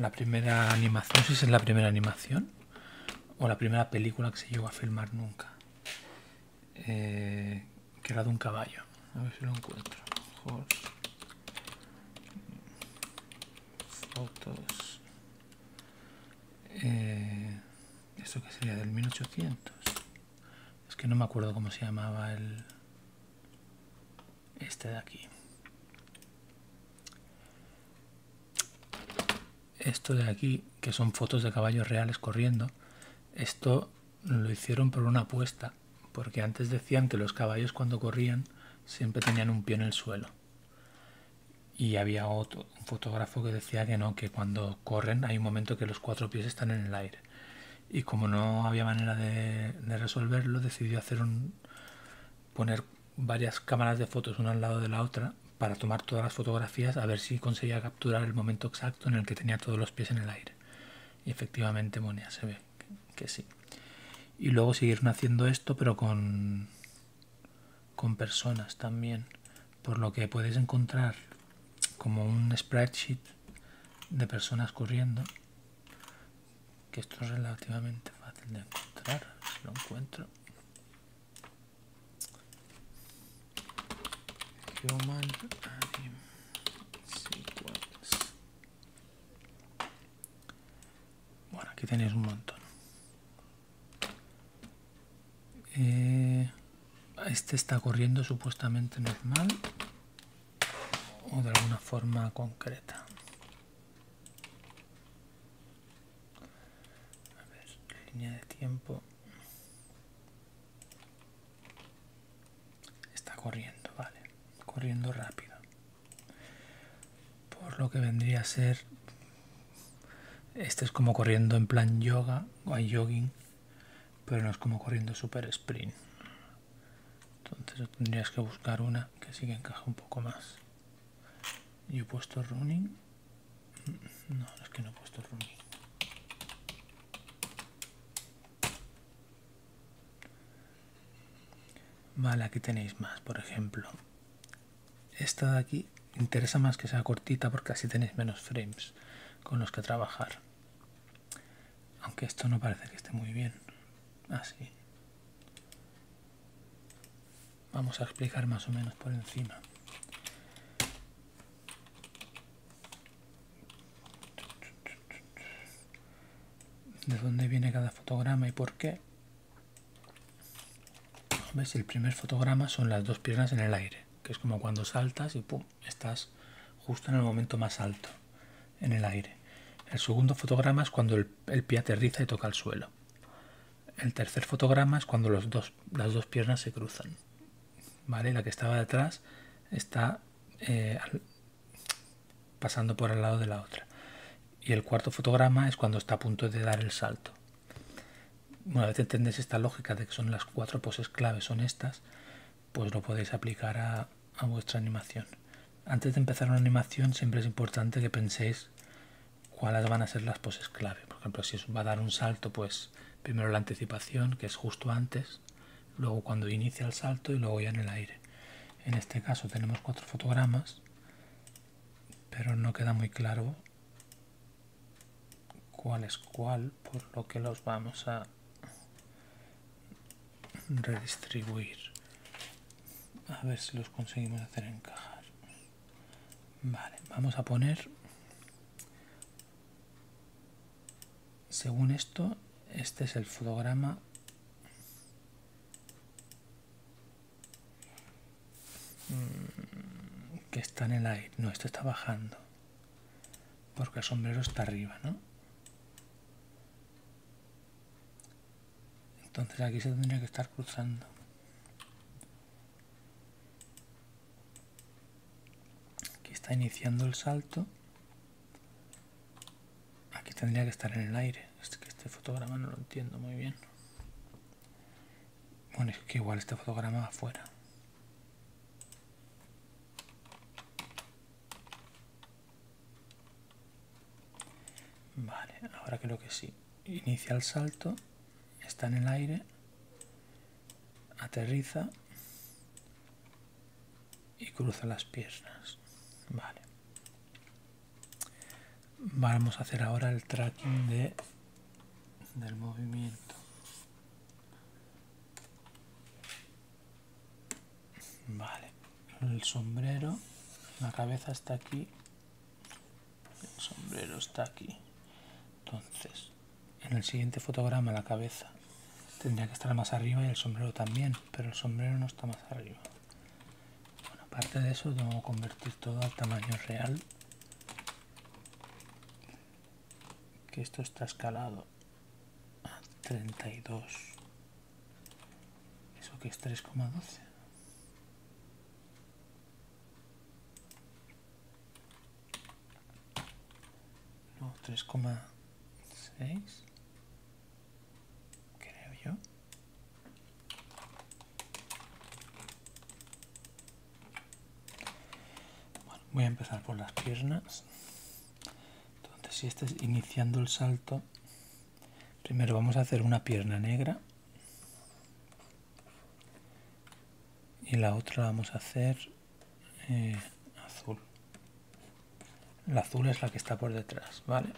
la primera animación, si es la primera animación, o la primera película que se llegó a filmar nunca, eh, que era de un caballo, a ver si lo encuentro. Fotos. Eh, ¿Esto que sería? ¿Del 1800? Es que no me acuerdo cómo se llamaba el... Este de aquí. Esto de aquí, que son fotos de caballos reales corriendo, esto lo hicieron por una apuesta, porque antes decían que los caballos cuando corrían siempre tenían un pie en el suelo. Y había otro, fotógrafo que decía que no, que cuando corren hay un momento que los cuatro pies están en el aire. Y como no había manera de, resolverlo, decidió hacer un, poner varias cámaras de fotos una al lado de la otra para tomar todas las fotografías a ver si conseguía capturar el momento exacto en el que tenía todos los pies en el aire. Y efectivamente, Monia, se ve que, sí. Y luego siguieron haciendo esto, pero con, con personas también, por lo que podéis encontrar como un spreadsheet de personas corriendo, que esto es relativamente fácil de encontrar, si lo encuentro. Bueno, aquí tenéis un montón. Eh, este está corriendo supuestamente normal o de alguna forma concreta. A ver, línea de tiempo. Está corriendo, vale. Corriendo rápido. Por lo que vendría a ser este es como corriendo en plan yoga o jogging, pero no es como corriendo super sprint. Entonces tendrías que buscar una que sí que encaje un poco más. ¿y he puesto running. No, es que no he puesto running. Vale, aquí tenéis más, por ejemplo. Esta de aquí interesa más que sea cortita porque así tenéis menos frames con los que trabajar. Aunque esto no parece que esté muy bien. Así. Ah, Vamos a explicar más o menos por encima. de dónde viene cada fotograma y por qué. ¿Ves? El primer fotograma son las dos piernas en el aire, que es como cuando saltas y pum, estás justo en el momento más alto, en el aire. El segundo fotograma es cuando el, pie aterriza y toca el suelo. El tercer fotograma es cuando las dos piernas se cruzan. ¿Vale? La que estaba detrás está eh, pasando por el lado de la otra. Y el cuarto fotograma es cuando está a punto de dar el salto. Una vez entendéis esta lógica de que son las cuatro poses claves son estas, pues lo podéis aplicar a, vuestra animación. Antes de empezar una animación siempre es importante que penséis cuáles van a ser las poses clave. Por ejemplo, si os va a dar un salto, pues primero la anticipación, que es justo antes, luego cuando inicia el salto y luego ya en el aire. En este caso tenemos cuatro fotogramas, pero no queda muy claro cuál es cuál, por lo que los vamos a redistribuir. A ver si los conseguimos hacer encajar. Vale, vamos a poner, según esto, este es el fotograma Mm, que está en el aire. No, esto está bajando. Porque el sombrero está arriba, ¿no? Entonces aquí se tendría que estar cruzando. Aquí está iniciando el salto. Aquí tendría que estar en el aire. Es que este fotograma no lo entiendo muy bien. Bueno, es que igual este fotograma afuera. Vale, ahora creo que sí. Inicia el salto, está en el aire, aterriza y cruza las piernas. Vale. Vamos a hacer ahora el tracking de del movimiento vale el sombrero la cabeza está aquí el sombrero está aquí entonces en el siguiente fotograma la cabeza tendría que estar más arriba y el sombrero también pero el sombrero no está más arriba bueno, aparte de eso tengo que convertir todo al tamaño real que esto está escalado a 32 eso que es 3,12 no 3,6 creo yo voy a empezar por las piernas. Entonces, si estás iniciando el salto, primero vamos a hacer una pierna negra. Y la otra la vamos a hacer eh, azul. La azul es la que está por detrás, ¿vale?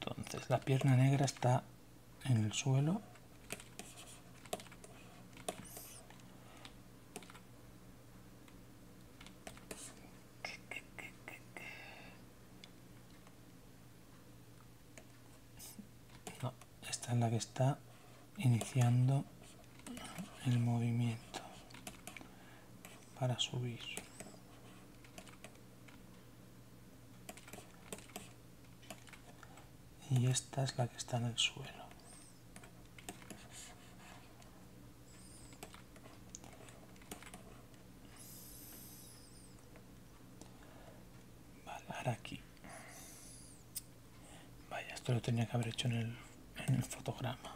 Entonces, la pierna negra está en el suelo esta es la que está iniciando el movimiento para subir y esta es la que está en el suelo vale, aquí vaya esto lo tenía que haber hecho en el, en el fotograma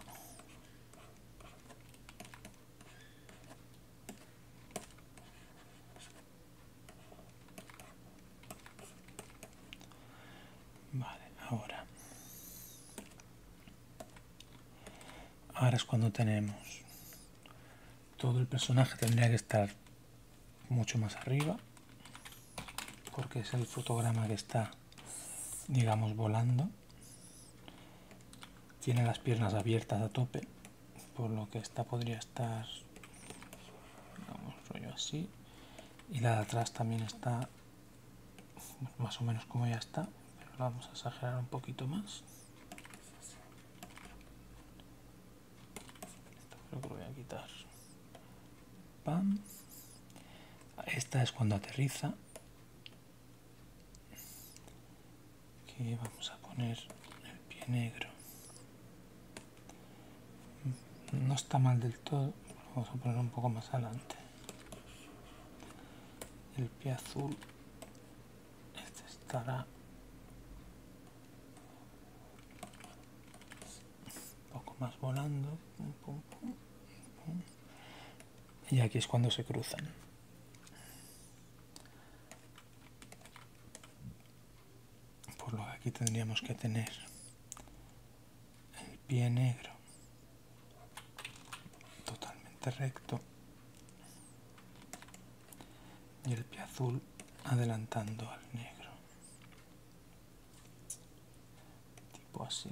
Vale, ahora. Ahora es cuando tenemos. Todo el personaje tendría que estar mucho más arriba. Porque es el fotograma que está, digamos, volando. Tiene las piernas abiertas a tope. Por lo que esta podría estar así. Y la de atrás también está más o menos como ya está, pero la vamos a exagerar un poquito más. Esto creo que lo voy a quitar. Esta es cuando aterriza. Que vamos a poner el pie negro no está mal del todo vamos a poner un poco más adelante el pie azul este estará un poco más volando y aquí es cuando se cruzan por lo que aquí tendríamos que tener el pie negro totalmente recto y el pie azul adelantando al negro tipo así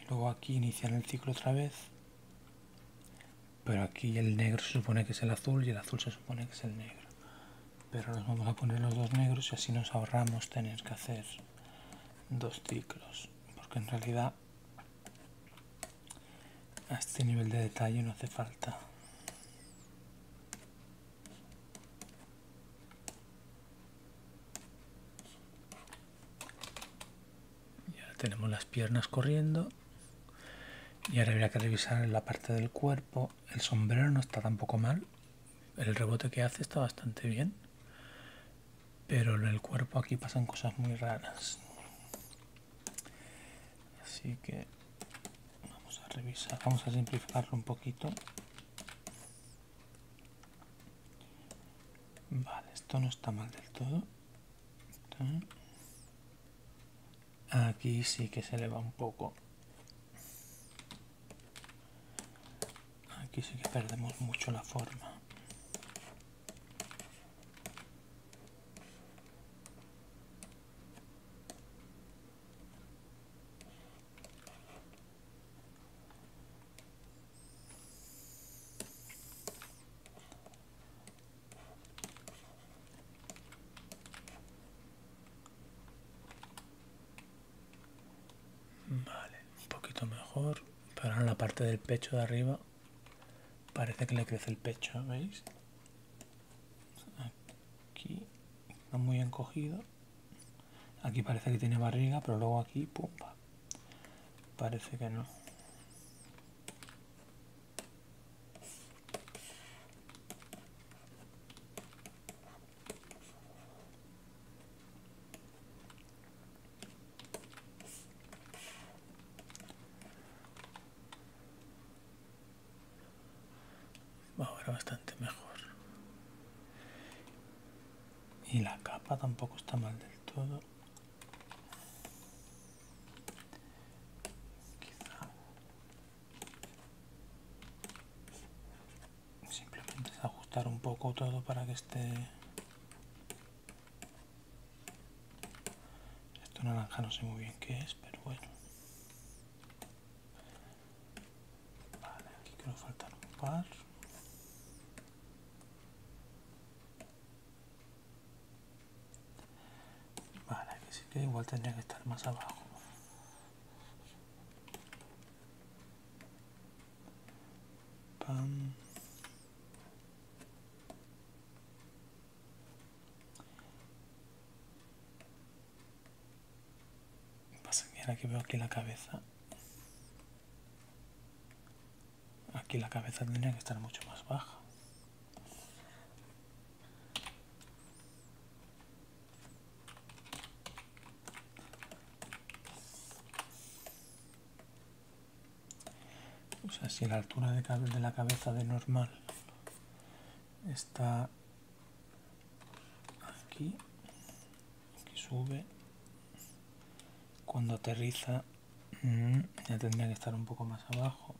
y luego aquí iniciar el ciclo otra vez pero aquí el negro se supone que es el azul y el azul se supone que es el negro pero nos vamos a poner los dos negros y así nos ahorramos tener que hacer dos ciclos porque en realidad a este nivel de detalle no hace falta y tenemos las piernas corriendo. Y ahora habría que revisar la parte del cuerpo. El sombrero no está tampoco mal. El rebote que hace está bastante bien. Pero en el cuerpo aquí pasan cosas muy raras. Así que vamos a revisar, vamos a simplificarlo un poquito. Vale, esto no está mal del todo. Aquí sí que se eleva un poco. Aquí sí que perdemos mucho la forma. Vale, un poquito mejor. Pero en la parte del pecho de arriba parece que le crece el pecho, ¿veis? Aquí No muy encogido. Aquí parece que tiene barriga, pero luego aquí, Parece que no ahora bastante mejor y la capa tampoco está mal del todo Quizá simplemente ajustar un poco todo para que esté esto naranja no sé muy bien qué es pero bueno vale aquí creo faltan un par Vale, que sí que igual tendría que estar más abajo. Pam. Pasa que ahora que veo aquí la cabeza Aquí la cabeza tendría que estar mucho más baja. O sea, si la altura de, de la cabeza de normal está aquí, aquí sube, cuando aterriza Mm, ya tendría que estar un poco más abajo.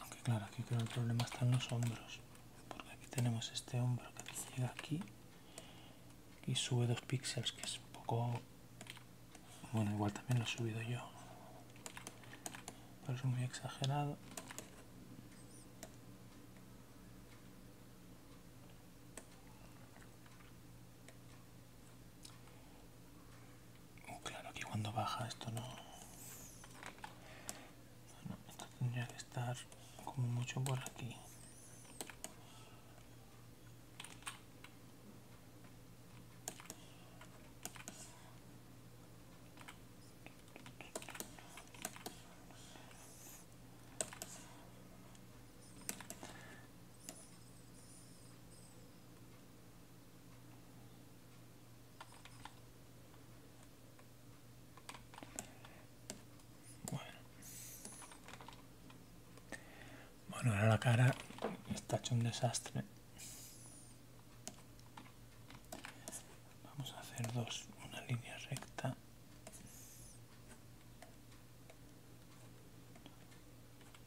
Aunque claro, aquí creo que el problema está en los hombros. Porque aquí tenemos este hombro que llega aquí. Y sube dos píxeles, que es un poco... Bueno, igual también lo he subido yo. Pero es muy exagerado. Oh, claro, que cuando baja esto no... esto tendría que estar como mucho por aquí. Bueno. ahora la cara está hecho un desastre. Vamos a hacer dos, una línea recta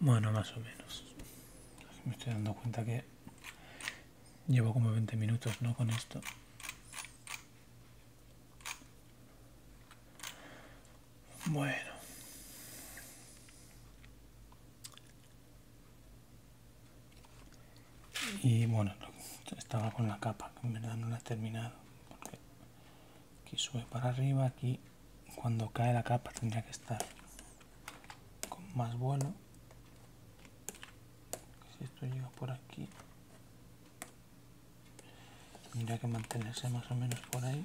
Bueno, más o menos. me estoy dando cuenta que llevo como 20 minutos, ¿no? Con esto. Bueno. Y bueno, estaba con la capa, que en verdad no la he terminado. Porque aquí sube para arriba aquí cuando cae la capa tendría que estar con más vuelo si esto llega por aquí tendría que mantenerse más o menos por ahí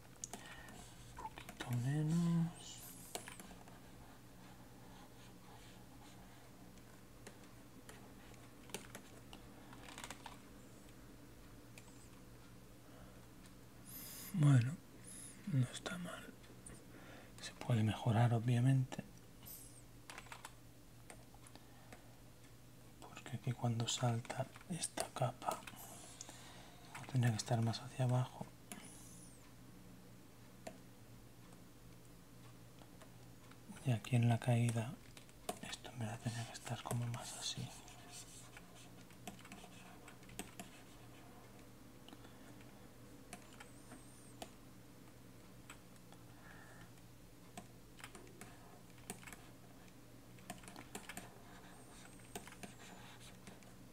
un poquito menos bueno no está mal se puede mejorar obviamente porque aquí cuando salta esta capa tendría que estar más hacia abajo y aquí en la caída esto me va a tener que estar como más así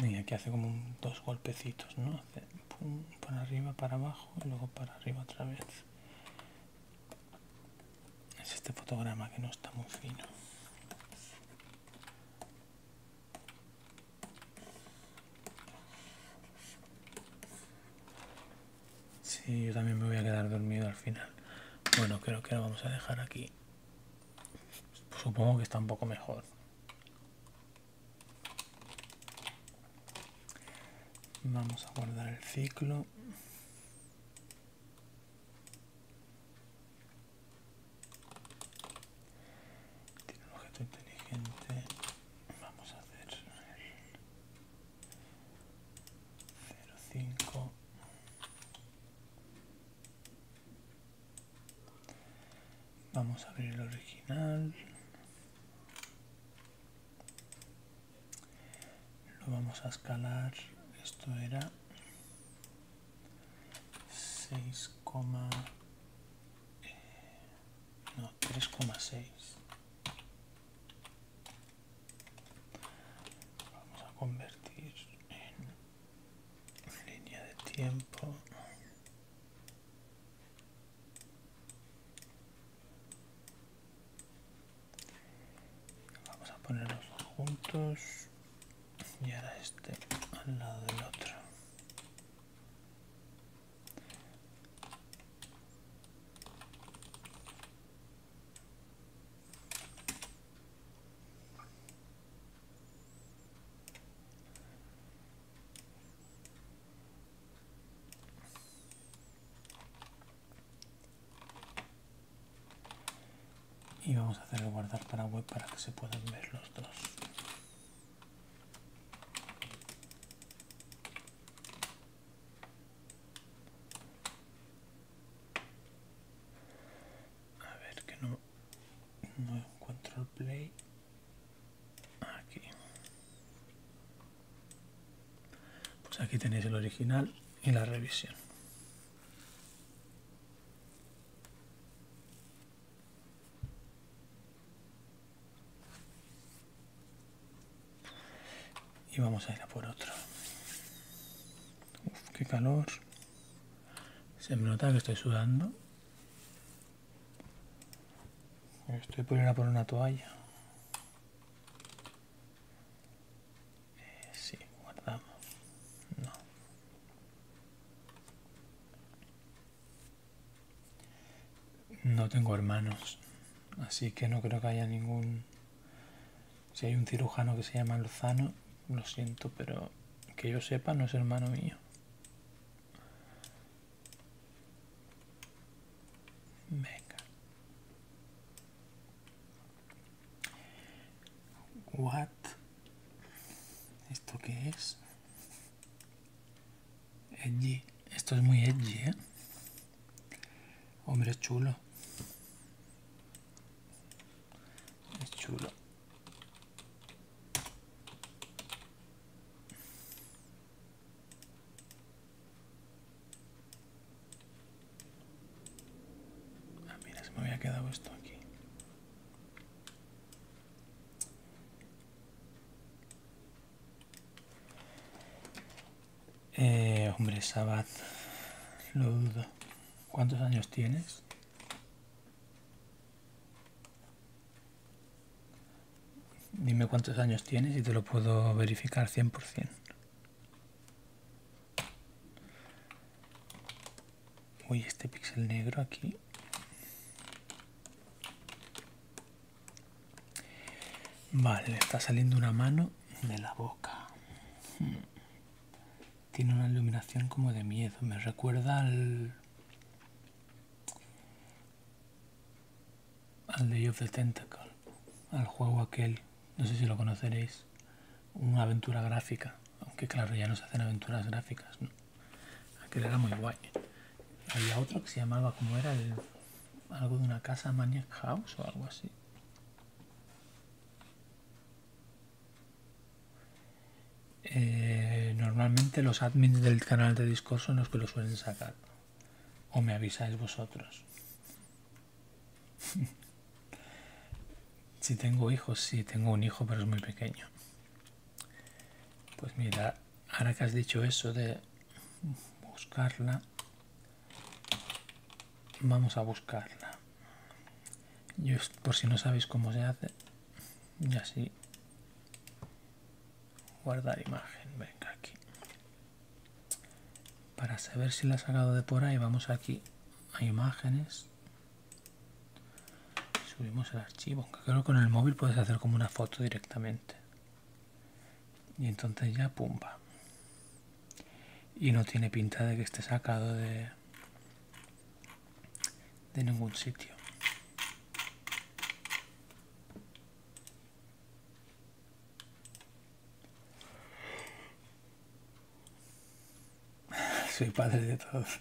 Mira, aquí hace como dos golpecitos, ¿no? Hace para arriba, para abajo y luego para arriba otra vez. Es este fotograma que no está muy fino si, yo también me voy a quedar dormido al final. Bueno, creo que lo vamos a dejar aquí. Supongo que está un poco mejor. Vamos a guardar el ciclo. Tiene un objeto inteligente. Vamos a hacer 05. Vamos a abrir el original. Lo vamos a escalar. Esto era 6, eh, no, 3,6 vamos a convertir en línea de tiempo vamos a ponerlos juntos y ahora este al lado del otro y vamos a hacer guardar para web para que se puedan ver los dos a ver que no, no encuentro el play. Aquí. Pues aquí tenéis el original y la revisión. Y vamos a ir a por otro. Uff, qué calor. Se me nota que estoy sudando. Estoy por por una toalla. Eh, sí, guardamos. No. No tengo hermanos, así que no creo que haya ningún... Si hay un cirujano que se llama Lozano, lo siento, pero que yo sepa no es hermano mío. Venga. What? ¿Esto qué es? Edgy. Esto es muy edgy, ¿eh? Hombre, es chulo. Es chulo. Ah, mira, se me había quedado esto aquí. Eh, hombre, Sabat, lo dudo. ¿Cuántos años tienes? Dime cuántos años tienes y te lo puedo verificar 100%. Uy, este píxel negro aquí vale está saliendo una mano de la boca tiene una iluminación como de miedo me recuerda al al Day of the Tentacle al juego aquel no sé si lo conoceréis una aventura gráfica aunque claro, ya no se hacen aventuras gráficas, ¿no? Aquel era muy guay. Había otro que se llamaba, como era? El, algo de una casa Maniac House o algo así. Eh, normalmente los admins del canal de discurso son los que lo suelen sacar. O me avisáis vosotros. si tengo hijos, sí, tengo un hijo, pero es muy pequeño. Pues mira, ahora que has dicho eso de buscarla, vamos a buscarla. Yo, por si no sabéis cómo se hace, y así guardar imagen, venga aquí. Para saber si la ha sacado de por ahí, vamos aquí a imágenes, subimos el archivo aunque creo que con el móvil puedes hacer como una foto directamente y entonces ya pumba y no tiene pinta de que esté sacado de de ningún sitio soy padre de todos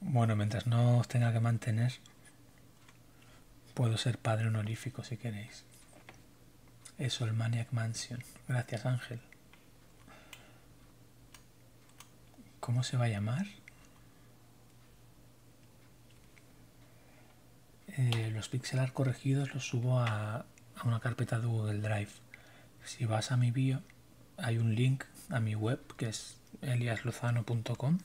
bueno, mientras no os tenga que mantener, puedo ser padre honorífico si queréis. Eso, el Maniac Mansion. Gracias, Ángel. ¿Cómo se va a llamar? Eh, los pixelar corregidos los subo a, a una carpeta de Google Drive. Si vas a mi bio, hay un link a mi web que es eliasluzano.com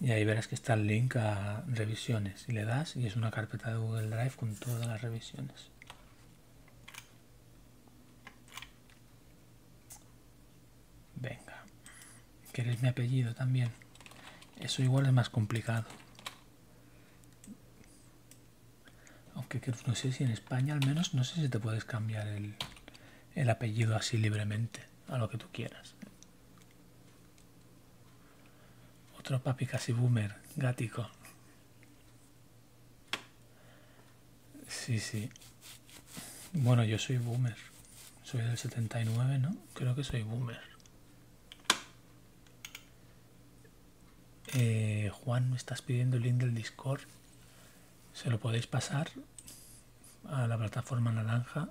y ahí verás que está el link a revisiones y le das y es una carpeta de Google Drive con todas las revisiones. Venga, ¿queréis mi apellido también? Eso igual es más complicado. Aunque no sé si en España al menos, no sé si te puedes cambiar el, el apellido así libremente, a lo que tú quieras. Otro papi casi boomer, gático. Sí, sí. Bueno, yo soy boomer. Soy del 79, ¿no? Creo que soy boomer. Eh, Juan, ¿me estás pidiendo el link del Discord? se lo podéis pasar a la plataforma naranja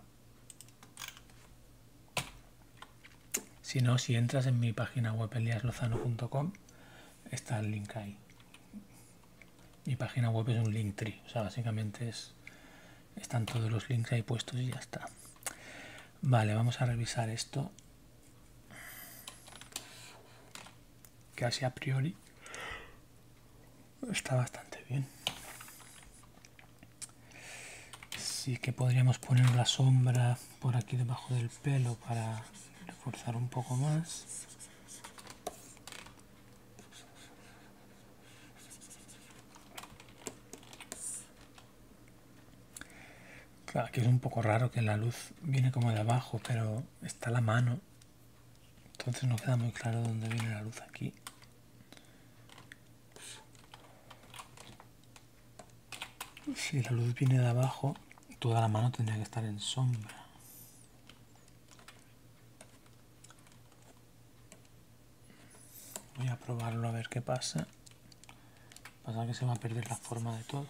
si no si entras en mi página web eliaslozano.com está el link ahí mi página web es un link tree o sea básicamente es están todos los links ahí puestos y ya está vale vamos a revisar esto casi a priori está bastante bien. Sí que podríamos poner la sombra por aquí debajo del pelo para reforzar un poco más. Claro, aquí es un poco raro que la luz viene como de abajo, pero está la mano entonces no queda muy claro dónde viene la luz aquí. Si la luz viene de abajo, toda la mano tendría que estar en sombra. Voy a probarlo a ver qué pasa. Pasa que se va a perder la forma de todo.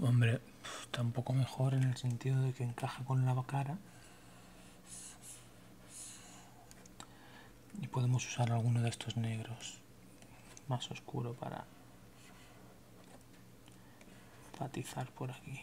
Hombre, poco mejor en el sentido de que encaja con la cara. Y podemos usar alguno de estos negros más oscuro para patizar por aquí.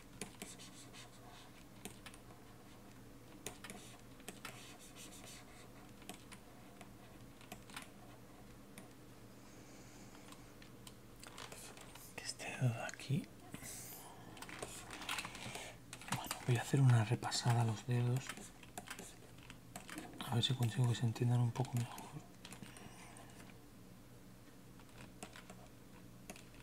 este aquí bueno voy a hacer una repasada a los dedos a ver si consigo que se entiendan un poco mejor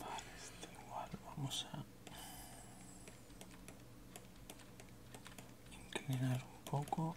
Vale, igual vamos a inclinar un poco.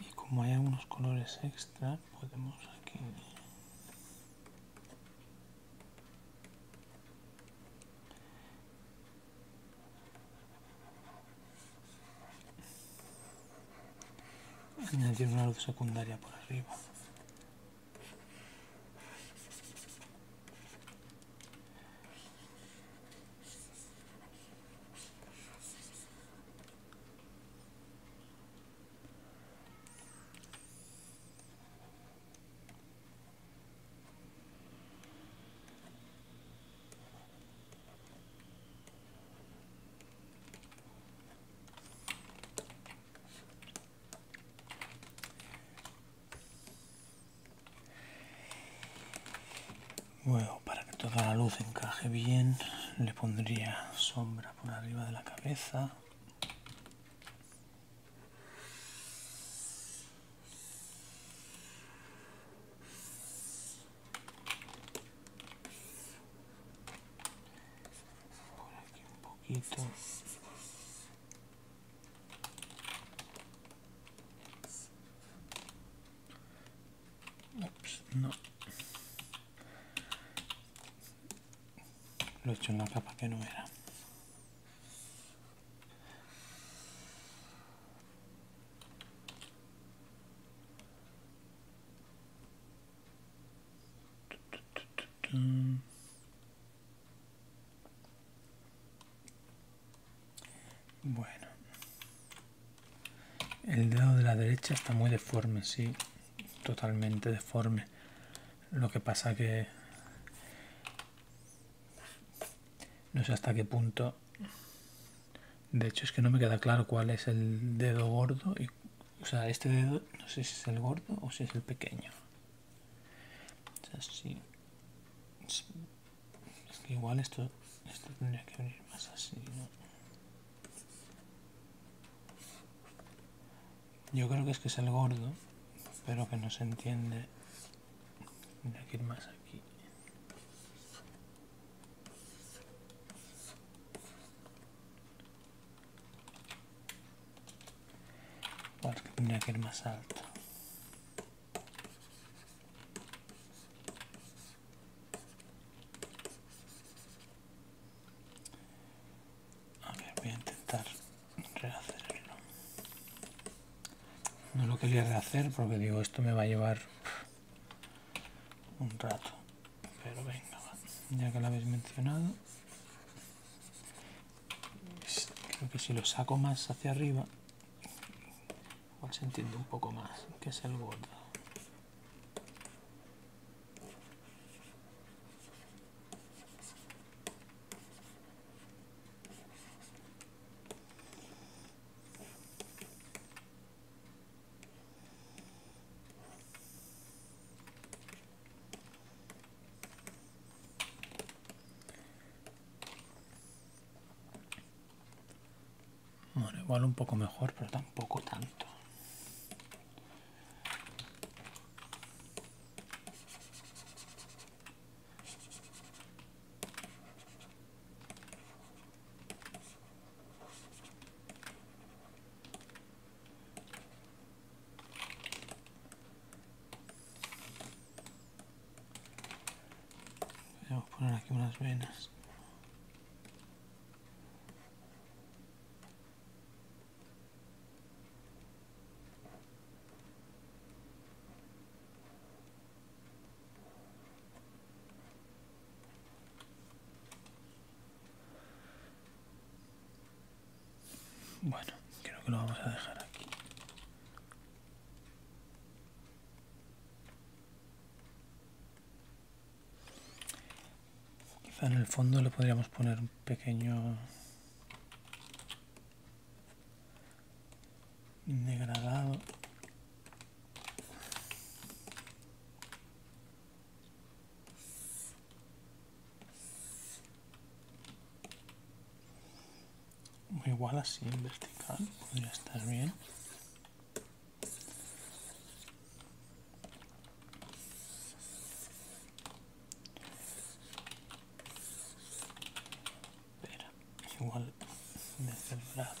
y como hay algunos colores extra podemos aquí añadir una luz secundaria por arriba. Bueno, para que toda la luz encaje bien, le pondría sombra por arriba de la cabeza por aquí un poquito no lo he hecho en capa que no era bueno. El dedo de la derecha está muy deforme, sí. Totalmente deforme. Lo que pasa que... No sé hasta qué punto de hecho, es que no me queda claro cuál es el dedo gordo. Y, o sea, este dedo, no sé si es el gordo o si es el pequeño. Es igual esto, tendría que abrir más así, Yo creo que es que es el gordo, pero que no se entiende. que más aquí que más alto. A voy a intentar rehacerlo. No lo quería rehacer porque digo, esto me va a llevar un rato. Pero venga, ya que lo habéis mencionado, pues, creo que si lo saco más hacia arriba, se un poco más, que es el gordo. Bueno, igual un poco mejor, pero tampoco tanto. Podemos poner aquí unas venas. Bueno, creo que lo vamos a dejar aquí. Quizá en el fondo le podríamos poner un pequeño degradado igual así en vertical podría estar bien Espera, igual desde el brazo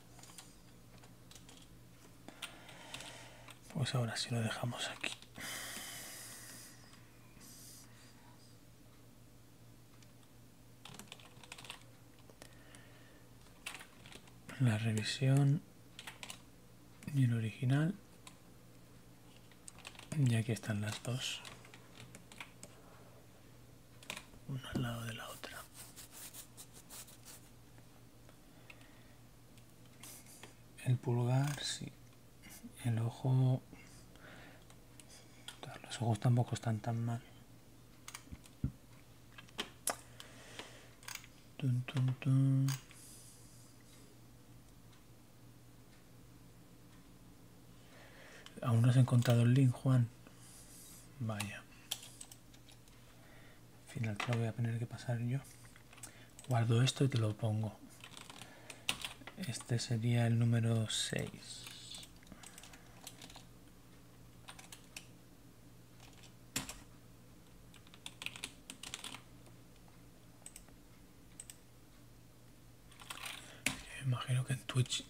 Pues ahora si lo dejamos aquí. La revisión y el original. Y aquí están las dos. Una al lado de la otra. El pulgar, sí. El ojo... Los ojos tampoco están tan mal. Aún no has encontrado el link, Juan. Vaya. Al final te lo voy a tener que pasar yo. Guardo esto y te lo pongo. Este sería el número 6. imagino que en Twitch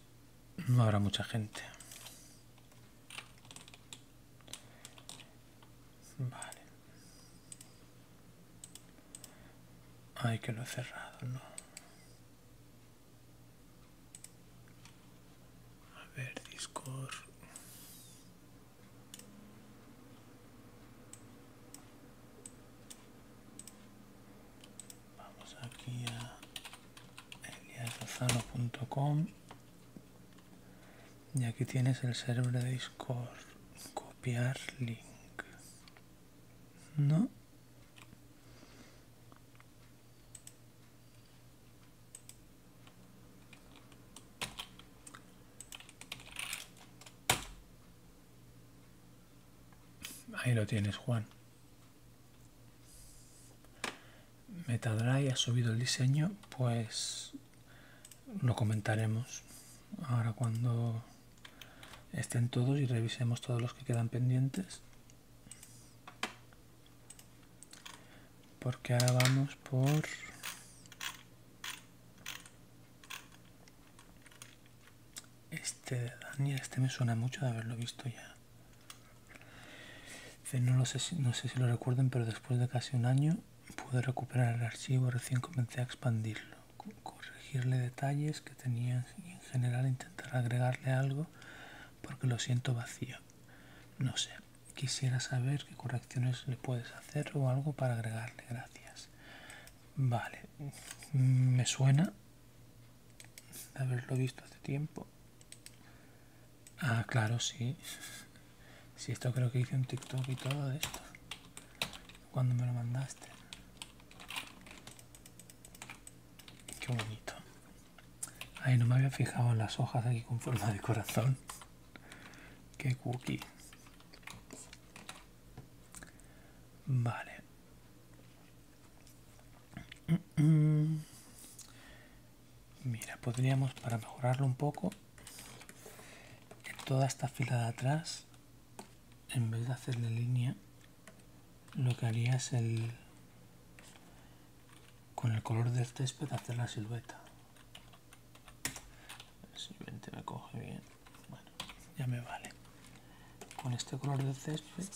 no habrá mucha gente. Vale. hay que lo cerrado, no. A ver, Discord. Vamos aquí a eliasrozano.com y aquí tienes el cerebro de Discord. Copiar link. ¿No? Ahí lo tienes, Juan. Metadry ha subido el diseño, pues lo comentaremos ahora cuando estén todos y revisemos todos los que quedan pendientes. Porque ahora vamos por... Este de Daniel, este me suena mucho de haberlo visto ya. No, sé, si lo recuerden, pero después de casi un año pude recuperar el archivo, recién comencé a expandirlo, corregirle detalles que tenía en general intentar agregarle algo porque lo siento vacío. No sé, quisiera saber qué correcciones le puedes hacer o algo para agregarle, gracias. Vale, mm, me suena haberlo visto hace tiempo. Ah, claro, sí. Sí, esto creo que hice un TikTok y todo esto. Cuando me lo mandaste. Qué bonito. Ay, no me había fijado en las hojas aquí con forma de corazón. Qué cookie. Vale mira podríamos para mejorarlo un poco toda esta fila de atrás en vez de hacerle línea lo que haría es el con el color del césped hacer la silueta simplemente me coge bien bueno ya me vale con este color del césped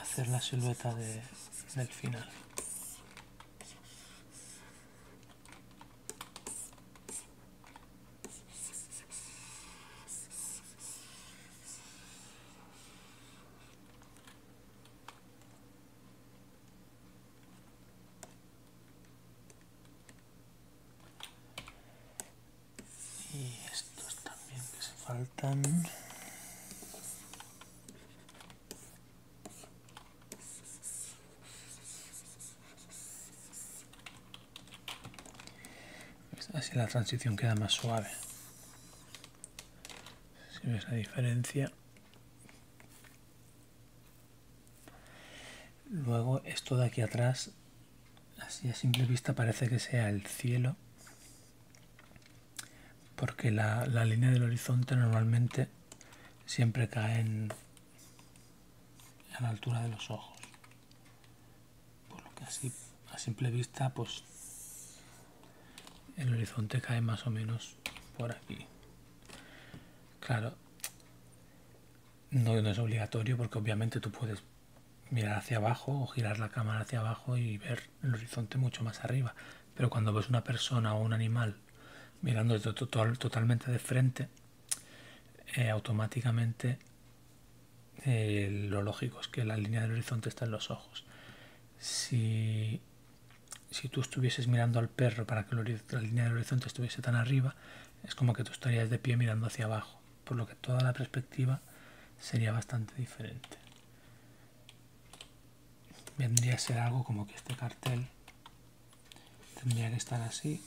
hacer la silueta de, del final. y estos también que se faltan Así la transición queda más suave. Si ves la diferencia. Luego esto de aquí atrás, así a simple vista parece que sea el cielo porque la, línea del horizonte normalmente siempre cae en, a la altura de los ojos por lo que así a simple vista pues el horizonte cae más o menos por aquí claro no es obligatorio porque obviamente tú puedes mirar hacia abajo o girar la cámara hacia abajo y ver el horizonte mucho más arriba pero cuando ves una persona o un animal mirando totalmente de frente, eh, automáticamente eh, lo lógico es que la línea del horizonte está en los ojos. si tú estuvieses mirando al perro para que la línea del horizonte estuviese tan arriba, es como que tú estarías de pie mirando hacia abajo, por lo que toda la perspectiva sería bastante diferente vendría a ser algo como que este cartel tendría que estar así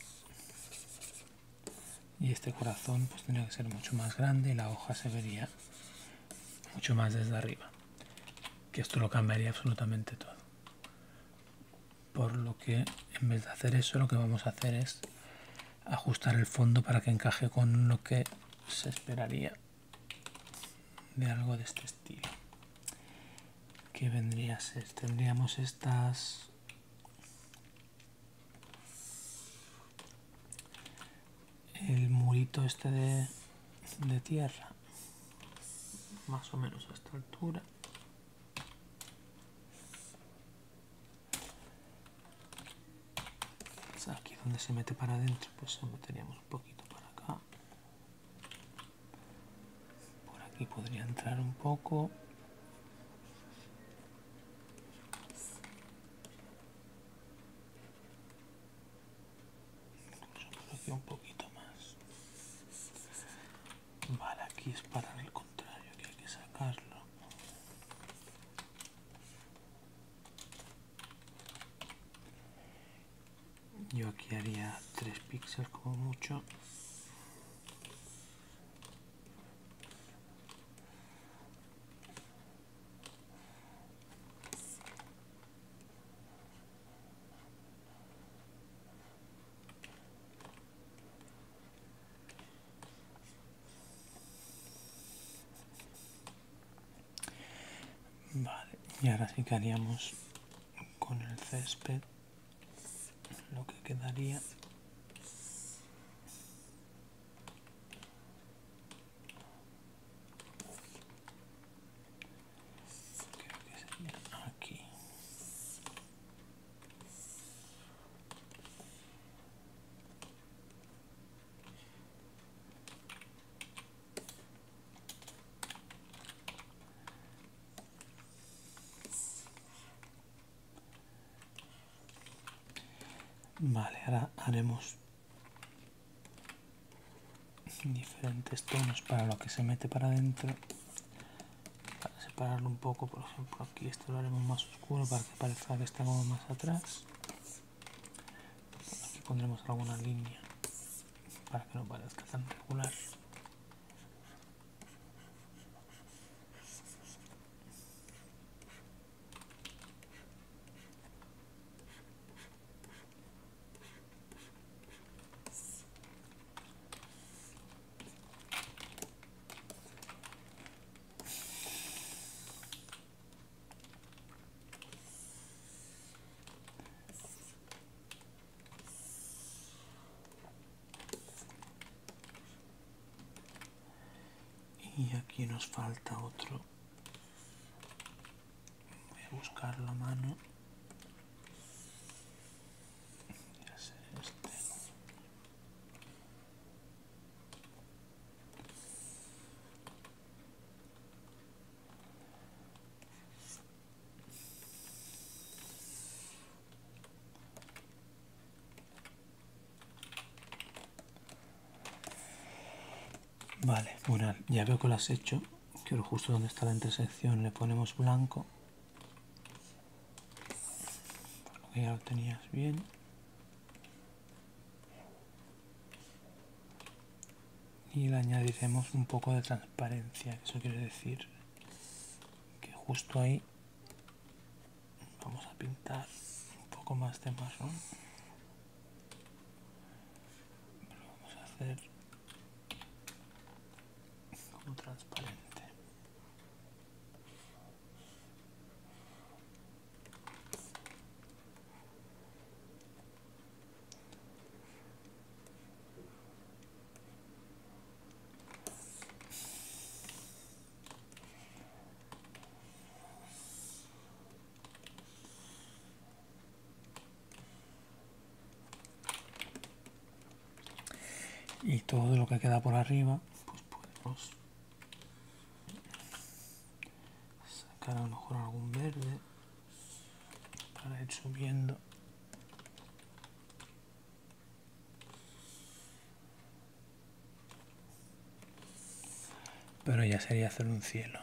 y este corazón pues tendría que ser mucho más grande y la hoja se vería mucho más desde arriba que esto lo cambiaría absolutamente todo por lo que en vez de hacer eso lo que vamos a hacer es ajustar el fondo para que encaje con lo que se esperaría de algo de este estilo que vendría a ser tendríamos estas el murito este de, tierra más o menos a esta altura pues aquí donde se mete para adentro pues se meteríamos un poquito para acá por aquí podría entrar un poco por un poquito más vale aquí es para el contrario que hay que sacarlo yo aquí haría tres píxeles como mucho Vale, y ahora sí que haríamos con el césped lo que quedaría. aquí. Vale, ahora haremos diferentes tonos para lo que se mete para adentro. Para separarlo un poco, por ejemplo, aquí esto lo haremos más oscuro para que parezca que está más atrás. Aquí pondremos alguna línea para que no parezca tan y aquí nos falta otro voy a buscar la mano este. Vale, bueno, Ya veo que lo has hecho. Quiero justo donde está la intersección le ponemos blanco. ya lo tenías bien y le añadiremos un poco de transparencia eso quiere decir que justo ahí vamos a pintar un poco más de marrón vamos a hacer como transparente y todo lo que queda por arriba pues podemos sacar a lo mejor algún verde para ir subiendo pero ya sería hacer un cielo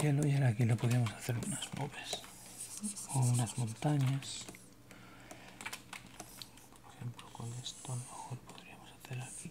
cielo y ahora aquí lo podíamos hacer unas nubes unas montañas por ejemplo con esto a lo mejor podríamos hacer aquí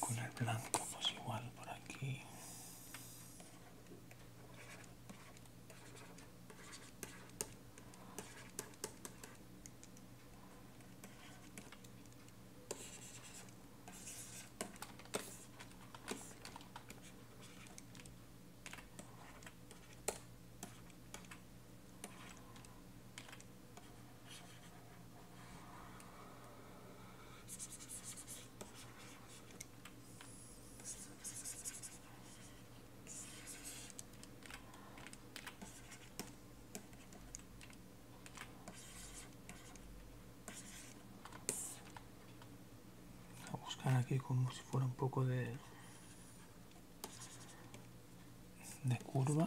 con el blanco pues igual por aquí a buscar aquí como si fuera un poco de de curva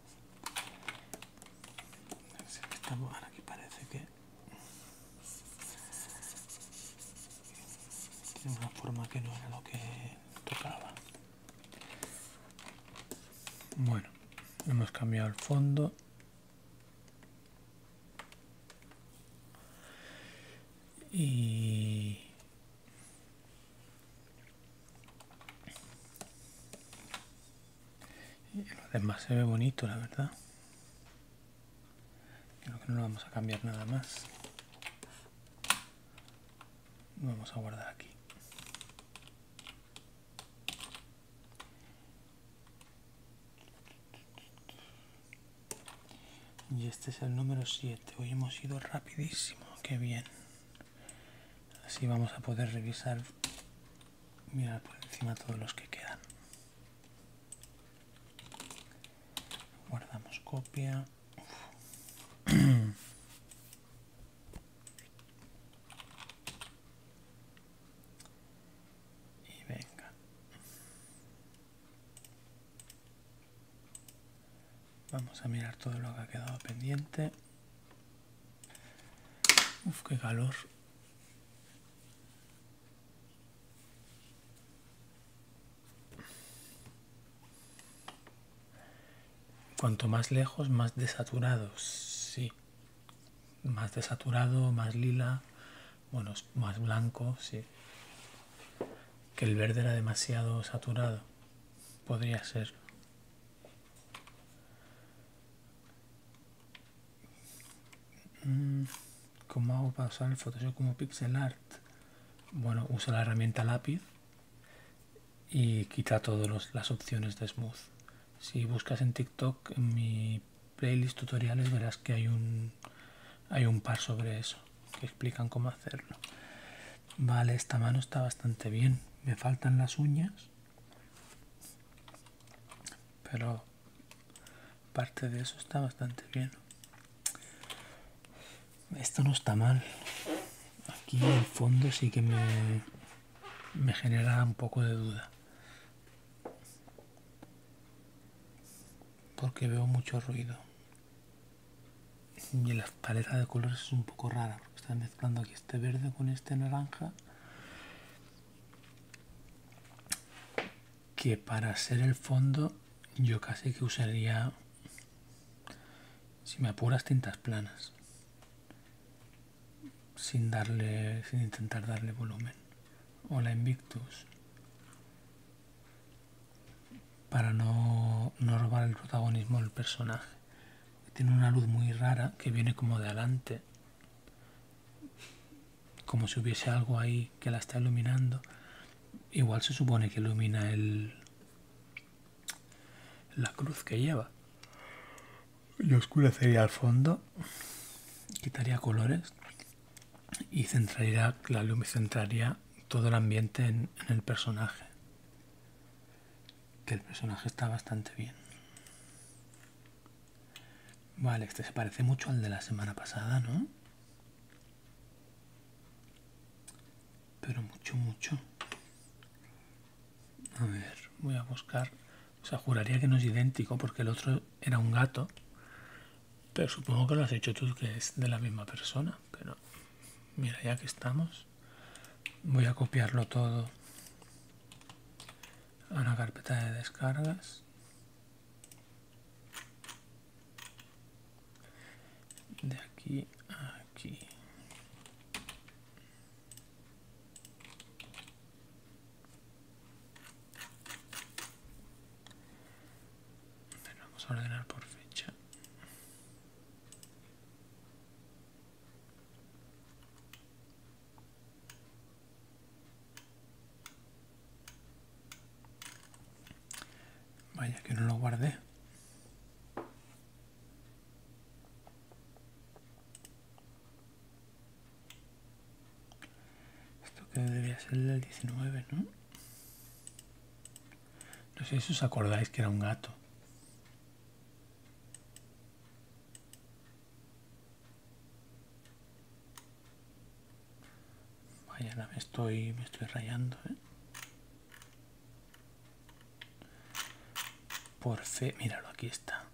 Estamos ahora parece que de una forma que no era lo que tocaba. Bueno, hemos cambiado el fondo. Y y lo demás se ve bonito, la verdad. Creo que no lo vamos a cambiar nada más. Lo vamos a guardar aquí. Y este es el número 7. Hoy hemos ido rapidísimo. Qué bien. Así vamos a poder revisar mirar por encima todos los que quedan guardamos copia y venga vamos a mirar todo lo que ha quedado pendiente Uf, qué calor Cuanto más lejos, más desaturados, sí. Más desaturado, más lila, bueno, más blanco, sí. Que el verde era demasiado saturado, podría ser. Mm, ¿Cómo hago para usar el Photoshop como pixel art? Bueno, usa la herramienta lápiz y quita todas las opciones de smooth. Si buscas en TikTok en mi playlist tutoriales verás que hay un, hay un par sobre eso, que explican cómo hacerlo. Vale, esta mano está bastante bien. Me faltan las uñas pero parte de eso está bastante bien esto no está mal aquí el fondo sí que me, me genera un poco de duda porque veo mucho ruido y la paleta de colores es un poco rara porque están mezclando aquí este verde con este naranja que para hacer el fondo yo casi que usaría si me apuras tintas planas sin darle sin intentar darle volumen o la invictus para no, no robar el protagonismo del personaje tiene una luz muy rara que viene como de adelante como si hubiese algo ahí que la está iluminando. Igual se supone que ilumina la cruz que lleva. Y oscurecería al fondo, quitaría colores y centraría la luz centraría todo el ambiente en el personaje. Que el personaje está bastante bien. Vale, este se parece mucho al de la semana pasada, ¿no? Pero mucho, mucho. A ver, voy a buscar. O sea, juraría que no es idéntico porque el otro era un gato. Pero supongo que lo has hecho tú, que es de la misma persona. Pero mira, ya que estamos, voy a copiarlo todo a la carpeta de descargas de aquí a aquí vamos a ordenar por fecha Vaya que no lo guardé. Esto que debería ser el 19, ¿no? No sé si os acordáis que era un gato. Vaya, me estoy, me estoy rayando, ¿eh? Por fe, míralo, aquí está.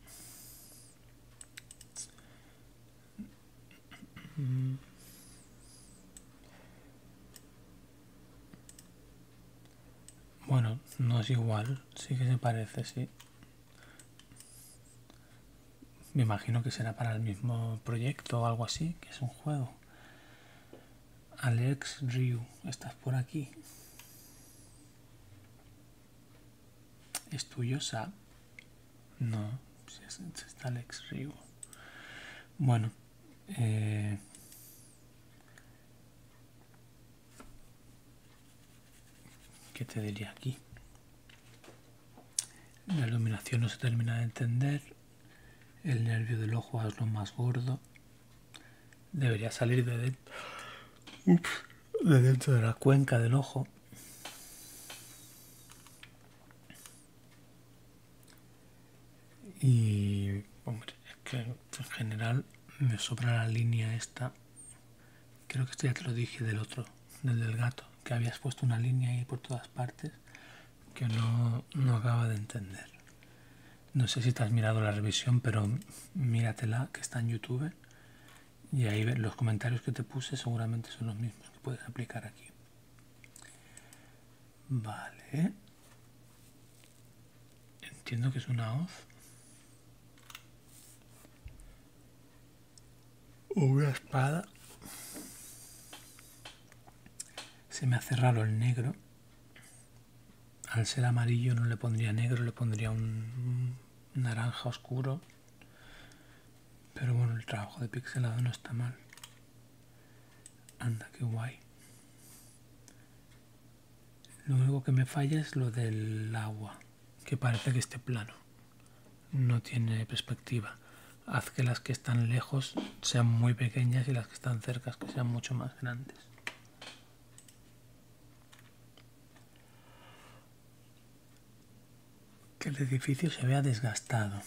Bueno, no es igual, sí que se parece, sí. Me imagino que será para el mismo proyecto o algo así, que es un juego. Alex Ryu, estás por aquí. ¿Es tuyo, No, si es, está Alex Ryu. Bueno, eh, ¿Qué te diría aquí? La iluminación no se termina de entender. El nervio del ojo es lo más gordo. Debería salir de dentro, de dentro de la cuenca del ojo. Y, hombre, es que en general me sobra la línea esta Creo que esto ya te lo dije del otro, del del gato, que habías puesto una línea ahí por todas partes que no, no acaba de entender. No sé si te has mirado la revisión, pero míratela, que está en YouTube. Y ahí los comentarios que te puse seguramente son los mismos que puedes aplicar aquí. Vale. Entiendo que es una hoz una espada. Se me hace raro el negro. Al ser amarillo no le pondría negro, le pondría un naranja oscuro. Pero bueno, el trabajo de pixelado no está mal. Anda, qué guay. Lo único que me falla es lo del agua que parece que este plano no tiene perspectiva. Haz que las que están lejos sean muy pequeñas y las que están cerca sean mucho más grandes. Que el edificio se vea desgastado.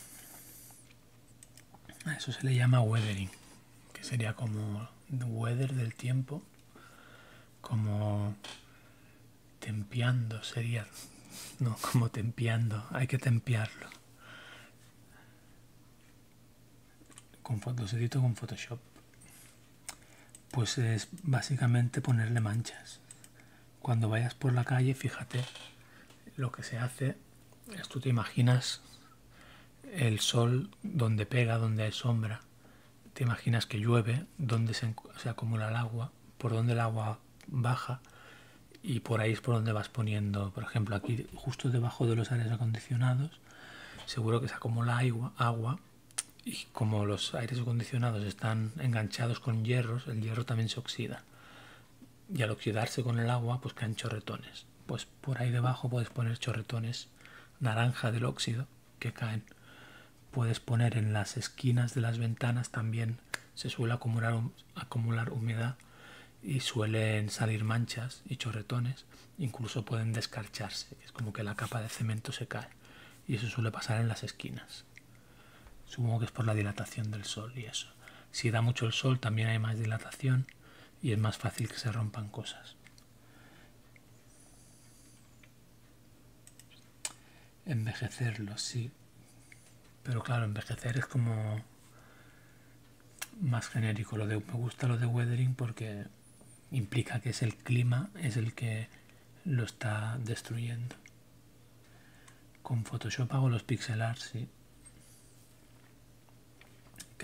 A eso se le llama weathering, que sería como weather del tiempo, como Tempiando sería, no como tempiando. hay que tempiarlo. Con, los edito con Photoshop. Pues es básicamente ponerle manchas. Cuando vayas por la calle, fíjate, lo que se hace es tú te imaginas el sol donde pega, donde hay sombra te imaginas que llueve, donde se, acumula el agua, por donde el agua baja y por ahí es por donde vas poniendo, por ejemplo, aquí justo debajo de los aires acondicionados, seguro que se acumula agua, agua y como los aires acondicionados están enganchados con hierros, el hierro también se oxida. Y al oxidarse con el agua, pues caen chorretones. Pues por ahí debajo puedes poner chorretones naranja del óxido que caen. Puedes poner en las esquinas de las ventanas también se suele acumular, humedad y suelen salir manchas y chorretones, incluso pueden descarcharse, es como que la capa de cemento se cae y eso suele pasar en las esquinas. Supongo que es por la dilatación del sol y eso. Si da mucho el sol también hay más dilatación y es más fácil que se rompan cosas envejecerlo, sí. Pero claro, envejecer es como más genérico. Lo de, me gusta lo de weathering porque implica que es el clima, es el que lo está destruyendo. Con Photoshop hago los pixel art, sí.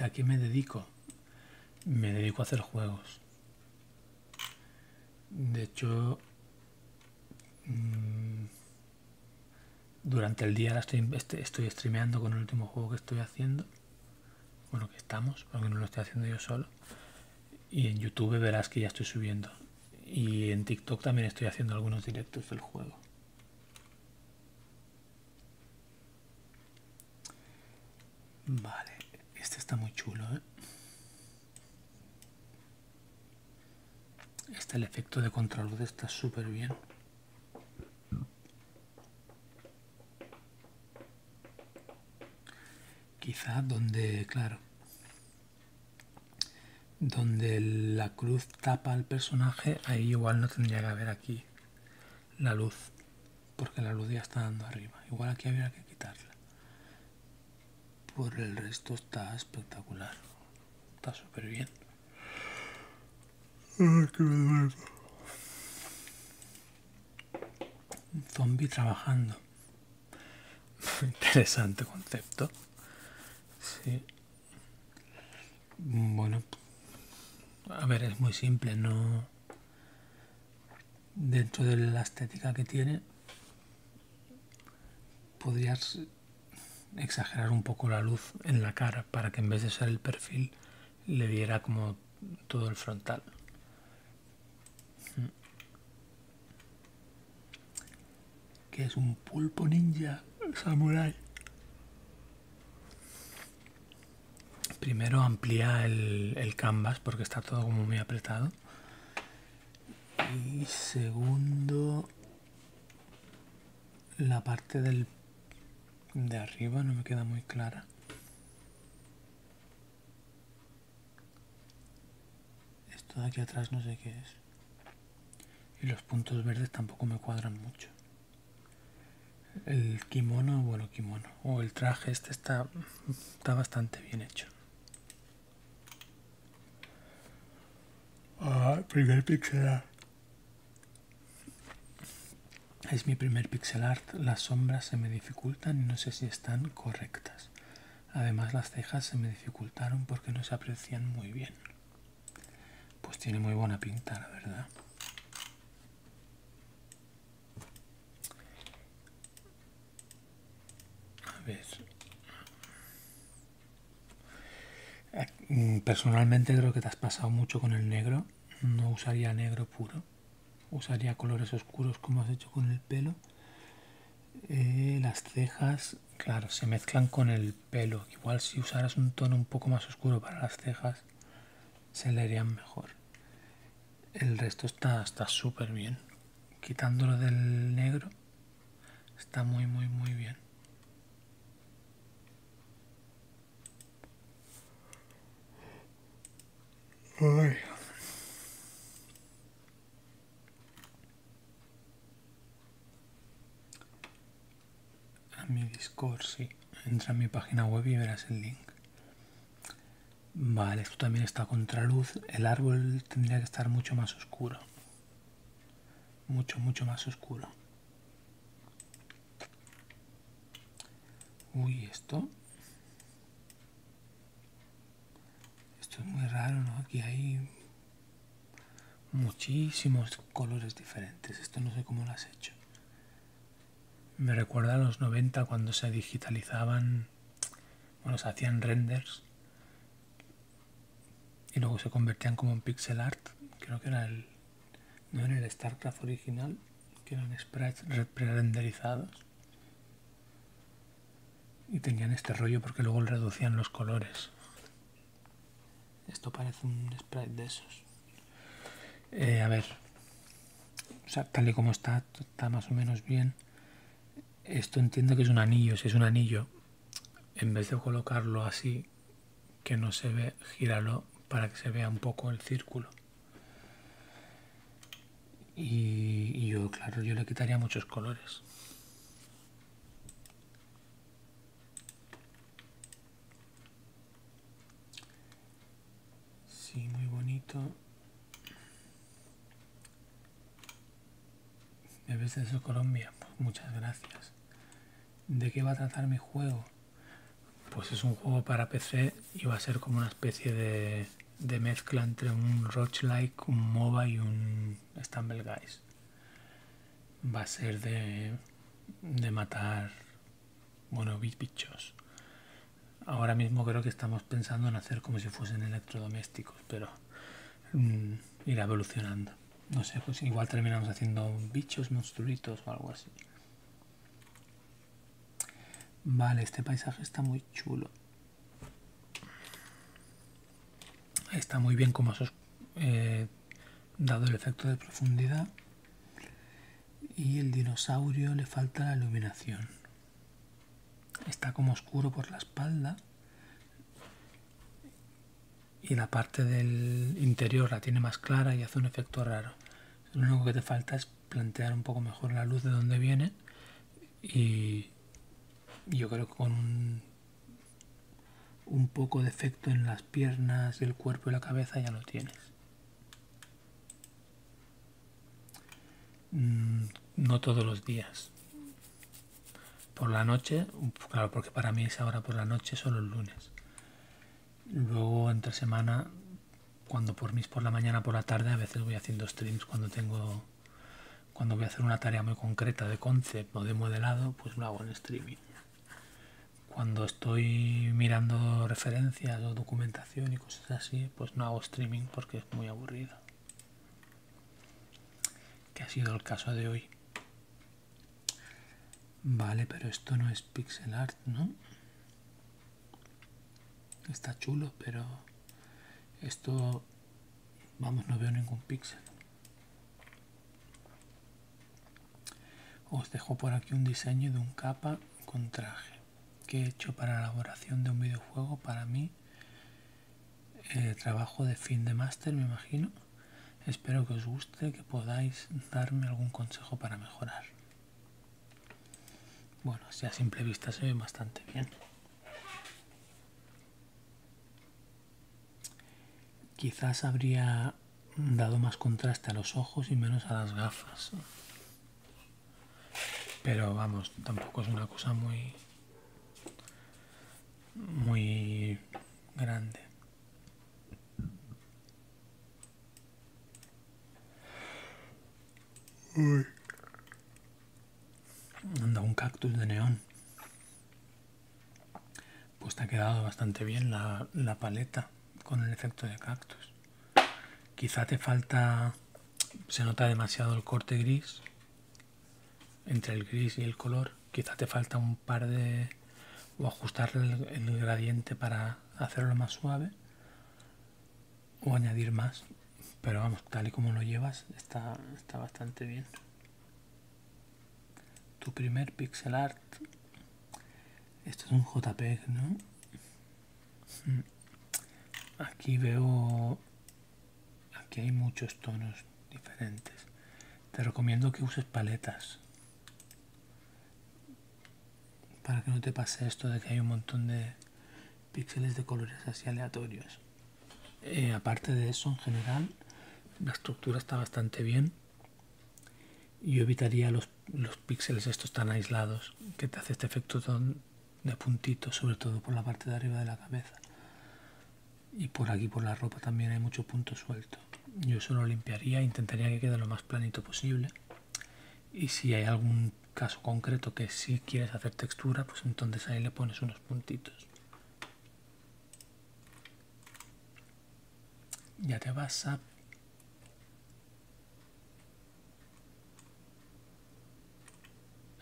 ¿A qué me dedico? Me dedico a hacer juegos. De hecho, mm, durante el día estoy, este, estoy streameando con el último juego que estoy haciendo. con lo que estamos, porque no lo estoy haciendo yo solo. Y en YouTube verás que ya estoy subiendo. Y en TikTok también estoy haciendo algunos directos del juego. Vale, este está muy chulo, ¿eh? Este el efecto de contraluz está súper bien. Quizá donde, claro, donde la cruz tapa al personaje, ahí igual no tendría que haber aquí la luz, porque la luz ya está dando arriba. Igual aquí habría que quitarla por el resto está espectacular. Está súper bien. Un Zombie trabajando. Interesante concepto. Bueno, a ver, es muy simple, no dentro de la estética que tiene, podrías exagerar un poco la luz en la cara para que en vez de ser el perfil le diera como todo el frontal. Mm. Que es un pulpo ninja samurai. Primero amplía el, el canvas porque está todo como muy apretado y segundo la parte del de arriba no me queda muy clara esto de aquí atrás no sé qué es y los puntos verdes tampoco me cuadran mucho el kimono bueno kimono o el traje este está está bastante bien hecho Ah, primer pixel art. Es mi primer pixel art. Las sombras se me dificultan y no sé si están correctas. Además las cejas se me dificultaron porque no se aprecian muy bien. Pues tiene muy buena pinta, la verdad. A ver. Ah, mm, personalmente creo que te has pasado mucho con el negro. No usaría negro puro. Usaría colores oscuros como has hecho con el pelo. Eh, las cejas, claro, se mezclan con el pelo. Igual si usaras un tono un poco más oscuro para las cejas, se le mejor. El resto está súper bien quitándolo del negro está muy muy muy bien a mi discord sí entra en mi página web y verás el link Vale, esto también está contra luz. El árbol tendría que estar mucho más oscuro. Mucho, mucho más oscuro. Uy, esto. Esto es muy raro, ¿no? Aquí hay muchísimos colores diferentes. Esto no sé cómo lo has hecho. Me recuerda a los 90 cuando se digitalizaban bueno, se hacían renders y luego se convertían como en pixel art. Creo que era el. No era el StarCraft original, que eran sprites pre-renderizados. Y tenían este rollo porque luego reducían los colores. Esto parece un sprite de esos. Eh, a ver, o sea, tal y como está, está más o menos bien. Esto entiendo que es un anillo. Si es un anillo, en vez de colocarlo así, que no se ve, gíralo para que se vea un poco el círculo. Y, yo, claro, yo le quitaría muchos colores. Sí, muy bonito. ¿Debes de eso Colombia, pues muchas gracias. ¿De qué va a tratar mi juego? Pues es un juego para PC y va a ser como una especie de, mezcla entre un roguelike, un MOBA y un Stumble Guys. Va a ser de, de matar, bueno, bichos. Ahora mismo creo que estamos pensando en hacer como si fuesen electrodomésticos, pero Mm, irá evolucionando. No sé, pues igual terminamos haciendo bichos, monstruitos o algo así. Vale, este paisaje está muy chulo. Está muy bien como has eh, dado el efecto de profundidad. Y el dinosaurio le falta la iluminación está como oscuro por la espalda y la parte del interior la tiene más clara y hace un efecto raro. Lo único que te falta es plantear un poco mejor la luz de dónde viene y yo creo que con un, poco de efecto en las piernas, el cuerpo y la cabeza ya lo tienes. Mm, no todos los días. Por la noche, claro, porque para mí es ahora por la noche, son los lunes. Luego entre semana, cuando por mis, por la mañana, por la tarde, a veces voy haciendo streams cuando tengo cuando voy a hacer una tarea muy concreta de concepto o de modelado, pues lo hago en streaming. Cuando estoy mirando referencias o documentación y cosas así, pues no hago streaming porque es muy aburrido que ha sido el caso de hoy. Vale, pero esto no es pixel art, ¿no? Está chulo, pero esto, vamos, no veo ningún pixel. Os dejo por aquí un diseño de un capa con traje que he hecho para la elaboración de un videojuego para mí eh, trabajo de fin de máster, me imagino. Espero que os guste, que podáis darme algún consejo para mejorar. Bueno, si a simple vista se ve bastante bien. Quizás habría dado más contraste a los ojos y menos a las gafas. Pero vamos, tampoco es una cosa muy muy grande. Anda un cactus de neón. Pues te ha quedado bastante bien la paleta con el efecto de cactus. Quizá te falta... Se nota demasiado el corte gris entre el gris y el color quizá te falta un par de o ajustar el, gradiente para hacerlo más suave o añadir más pero vamos tal y como lo llevas está, está bastante bien tu primer pixel art esto es un jpeg no mm. aquí veo aquí hay muchos tonos diferentes te recomiendo que uses paletas para que no te pase esto de que hay un montón de píxeles de colores así aleatorios eh, aparte de eso en general la estructura está bastante bien yo evitaría los, los píxeles estos tan aislados que te hace este efecto de puntitos, sobre todo por la parte de arriba de la cabeza. Y por aquí, por la ropa, también hay mucho punto suelto. Yo solo limpiaría, intentaría que quede lo más planito posible. Y si hay algún caso concreto que si sí quieres hacer textura, pues entonces ahí le pones unos puntitos. Ya te vas a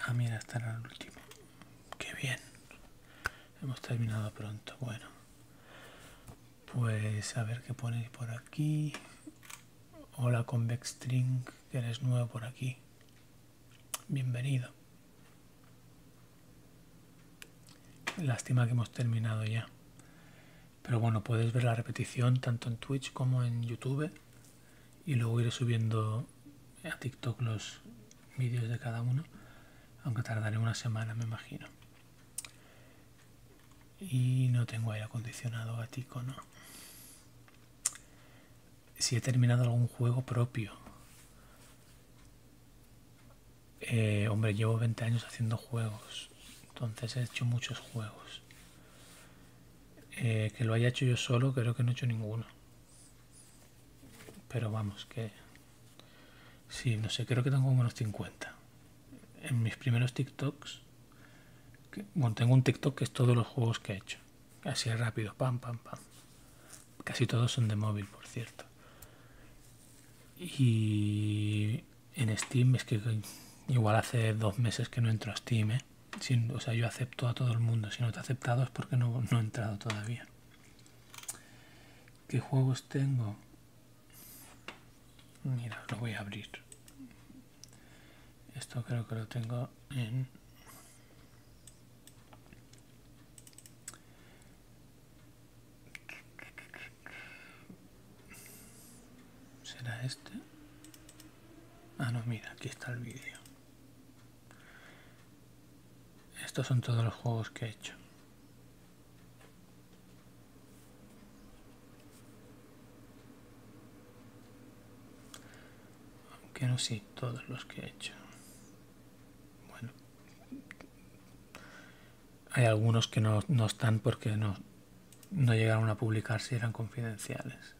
Ah, mira, está el último. Qué bien. Hemos terminado pronto. Bueno. Pues a ver qué ponéis por aquí. Hola Convex String, que eres nuevo por aquí. Bienvenido. Lástima que hemos terminado ya. Pero bueno, puedes ver la repetición tanto en Twitch como en YouTube y luego iré subiendo a TikTok los vídeos de cada uno, aunque tardaré una semana me imagino. Y no tengo aire acondicionado gatico, no. Si he terminado algún juego propio. Eh, hombre, llevo 20 años haciendo juegos, entonces he hecho muchos juegos. Eh, que lo haya hecho yo solo, creo que no he hecho ninguno. Pero vamos, que... si no sé, creo que tengo como unos 50. En mis primeros TikToks... bueno, tengo un TikTok que es todos los juegos que he hecho. Así rápido, pam, pam, pam. Casi todos son de móvil, por cierto. Y en Steam es que igual hace dos meses que no entro a Steam, ¿eh? o sea, yo acepto a todo el mundo. Si no te he aceptado es porque no, no he entrado todavía. ¿Qué juegos tengo? Mira, lo voy a abrir. Esto creo que lo tengo en... ¿Será este? Ah, no, mira, aquí está el vídeo. Estos son todos los juegos que he hecho. Aunque no sé todos los que he hecho. Bueno. Hay algunos que no, están porque no, llegaron a publicarse si eran confidenciales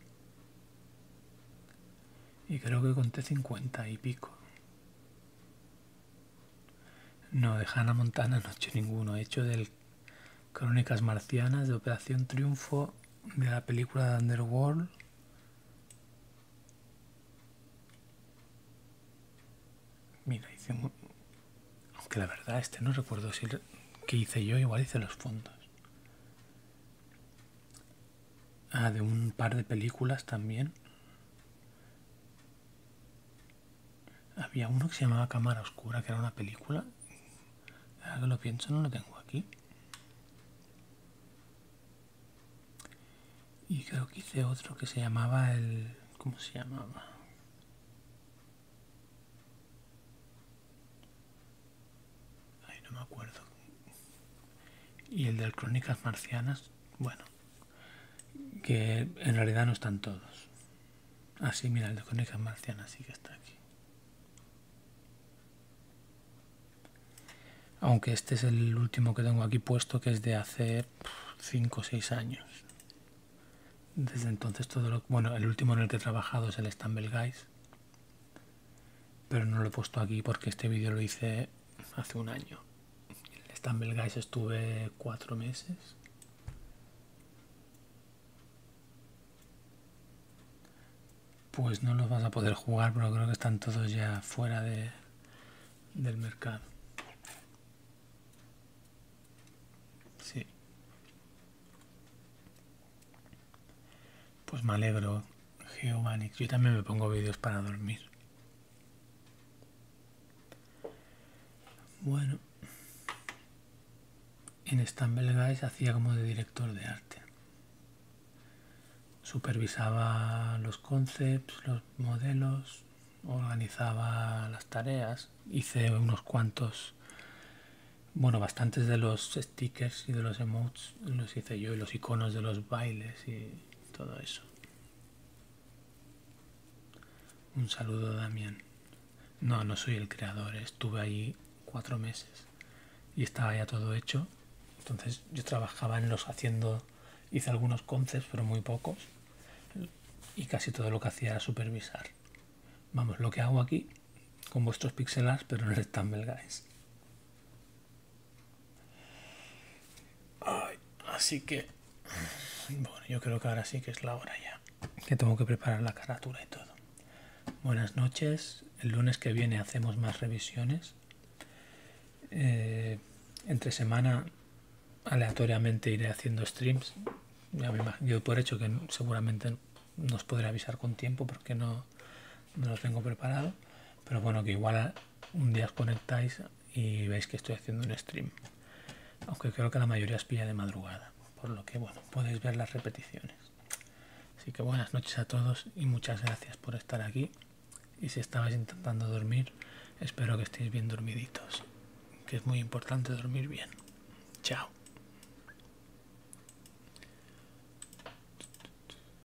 y creo que conté 50 y pico. No, de Hannah Montana noche ninguno. He hecho de Crónicas Marcianas, de Operación Triunfo, de la película de Underworld. Mira, hice... Aunque la verdad, este no recuerdo si... Lo... que hice yo? Igual hice los fondos. Ah, de un par de películas también. Había uno que se llamaba Cámara Oscura, que era una película. Ahora que lo pienso, no lo tengo aquí. Y creo que hice otro que se llamaba el... ¿Cómo se llamaba? no me acuerdo. Y el de Crónicas Marcianas, bueno, que en realidad no están todos. así ah, mira, el de Crónicas Marcianas sí que está aquí. Aunque este es el último que tengo aquí puesto, que es de hace 5 o 6 años. Desde entonces todo lo... Bueno, el último en el que he trabajado es el Stumble Guys. Pero no lo he puesto aquí porque este vídeo lo hice hace un año. En el Stumble Guys estuve cuatro meses. Pues no los vas a poder jugar, pero creo que están todos ya fuera del mercado. Sí. Pues me alegro. Geomanix. Yo también me pongo vídeos para dormir. Bueno. En Belgae Guys hacía como de director de arte. Supervisaba los concepts, los modelos, organizaba las tareas. Hice unos cuantos, bueno, bastantes de los stickers y de los emotes los, hice yo y los iconos de los bailes y todo eso. Un saludo, Damián. No, no soy el creador, ¿eh? estuve ahí cuatro meses y estaba ya todo hecho. Entonces yo trabajaba en los haciendo, hice algunos concepts, pero muy pocos. Y casi todo lo que hacía era supervisar. Vamos, lo que hago aquí con vuestros píxeles pero no tan belga ¿eh? así que, bueno, yo creo que ahora sí que es la hora ya, que tengo que preparar la carátula y todo. Buenas noches, el lunes que viene hacemos más revisiones. Eh, entre semana aleatoriamente iré haciendo streams. yo por hecho que seguramente nos podré avisar con tiempo porque no, no lo tengo preparado, pero bueno, que igual un día os conectáis y veis que estoy haciendo un stream. Aunque creo que la mayoría os pilla de madrugada, por lo que bueno, podéis ver las repeticiones. Así que buenas noches a todos y muchas gracias por estar aquí. Y si estabais intentando dormir, espero que estéis bien dormiditos, que es muy importante dormir bien. Chao.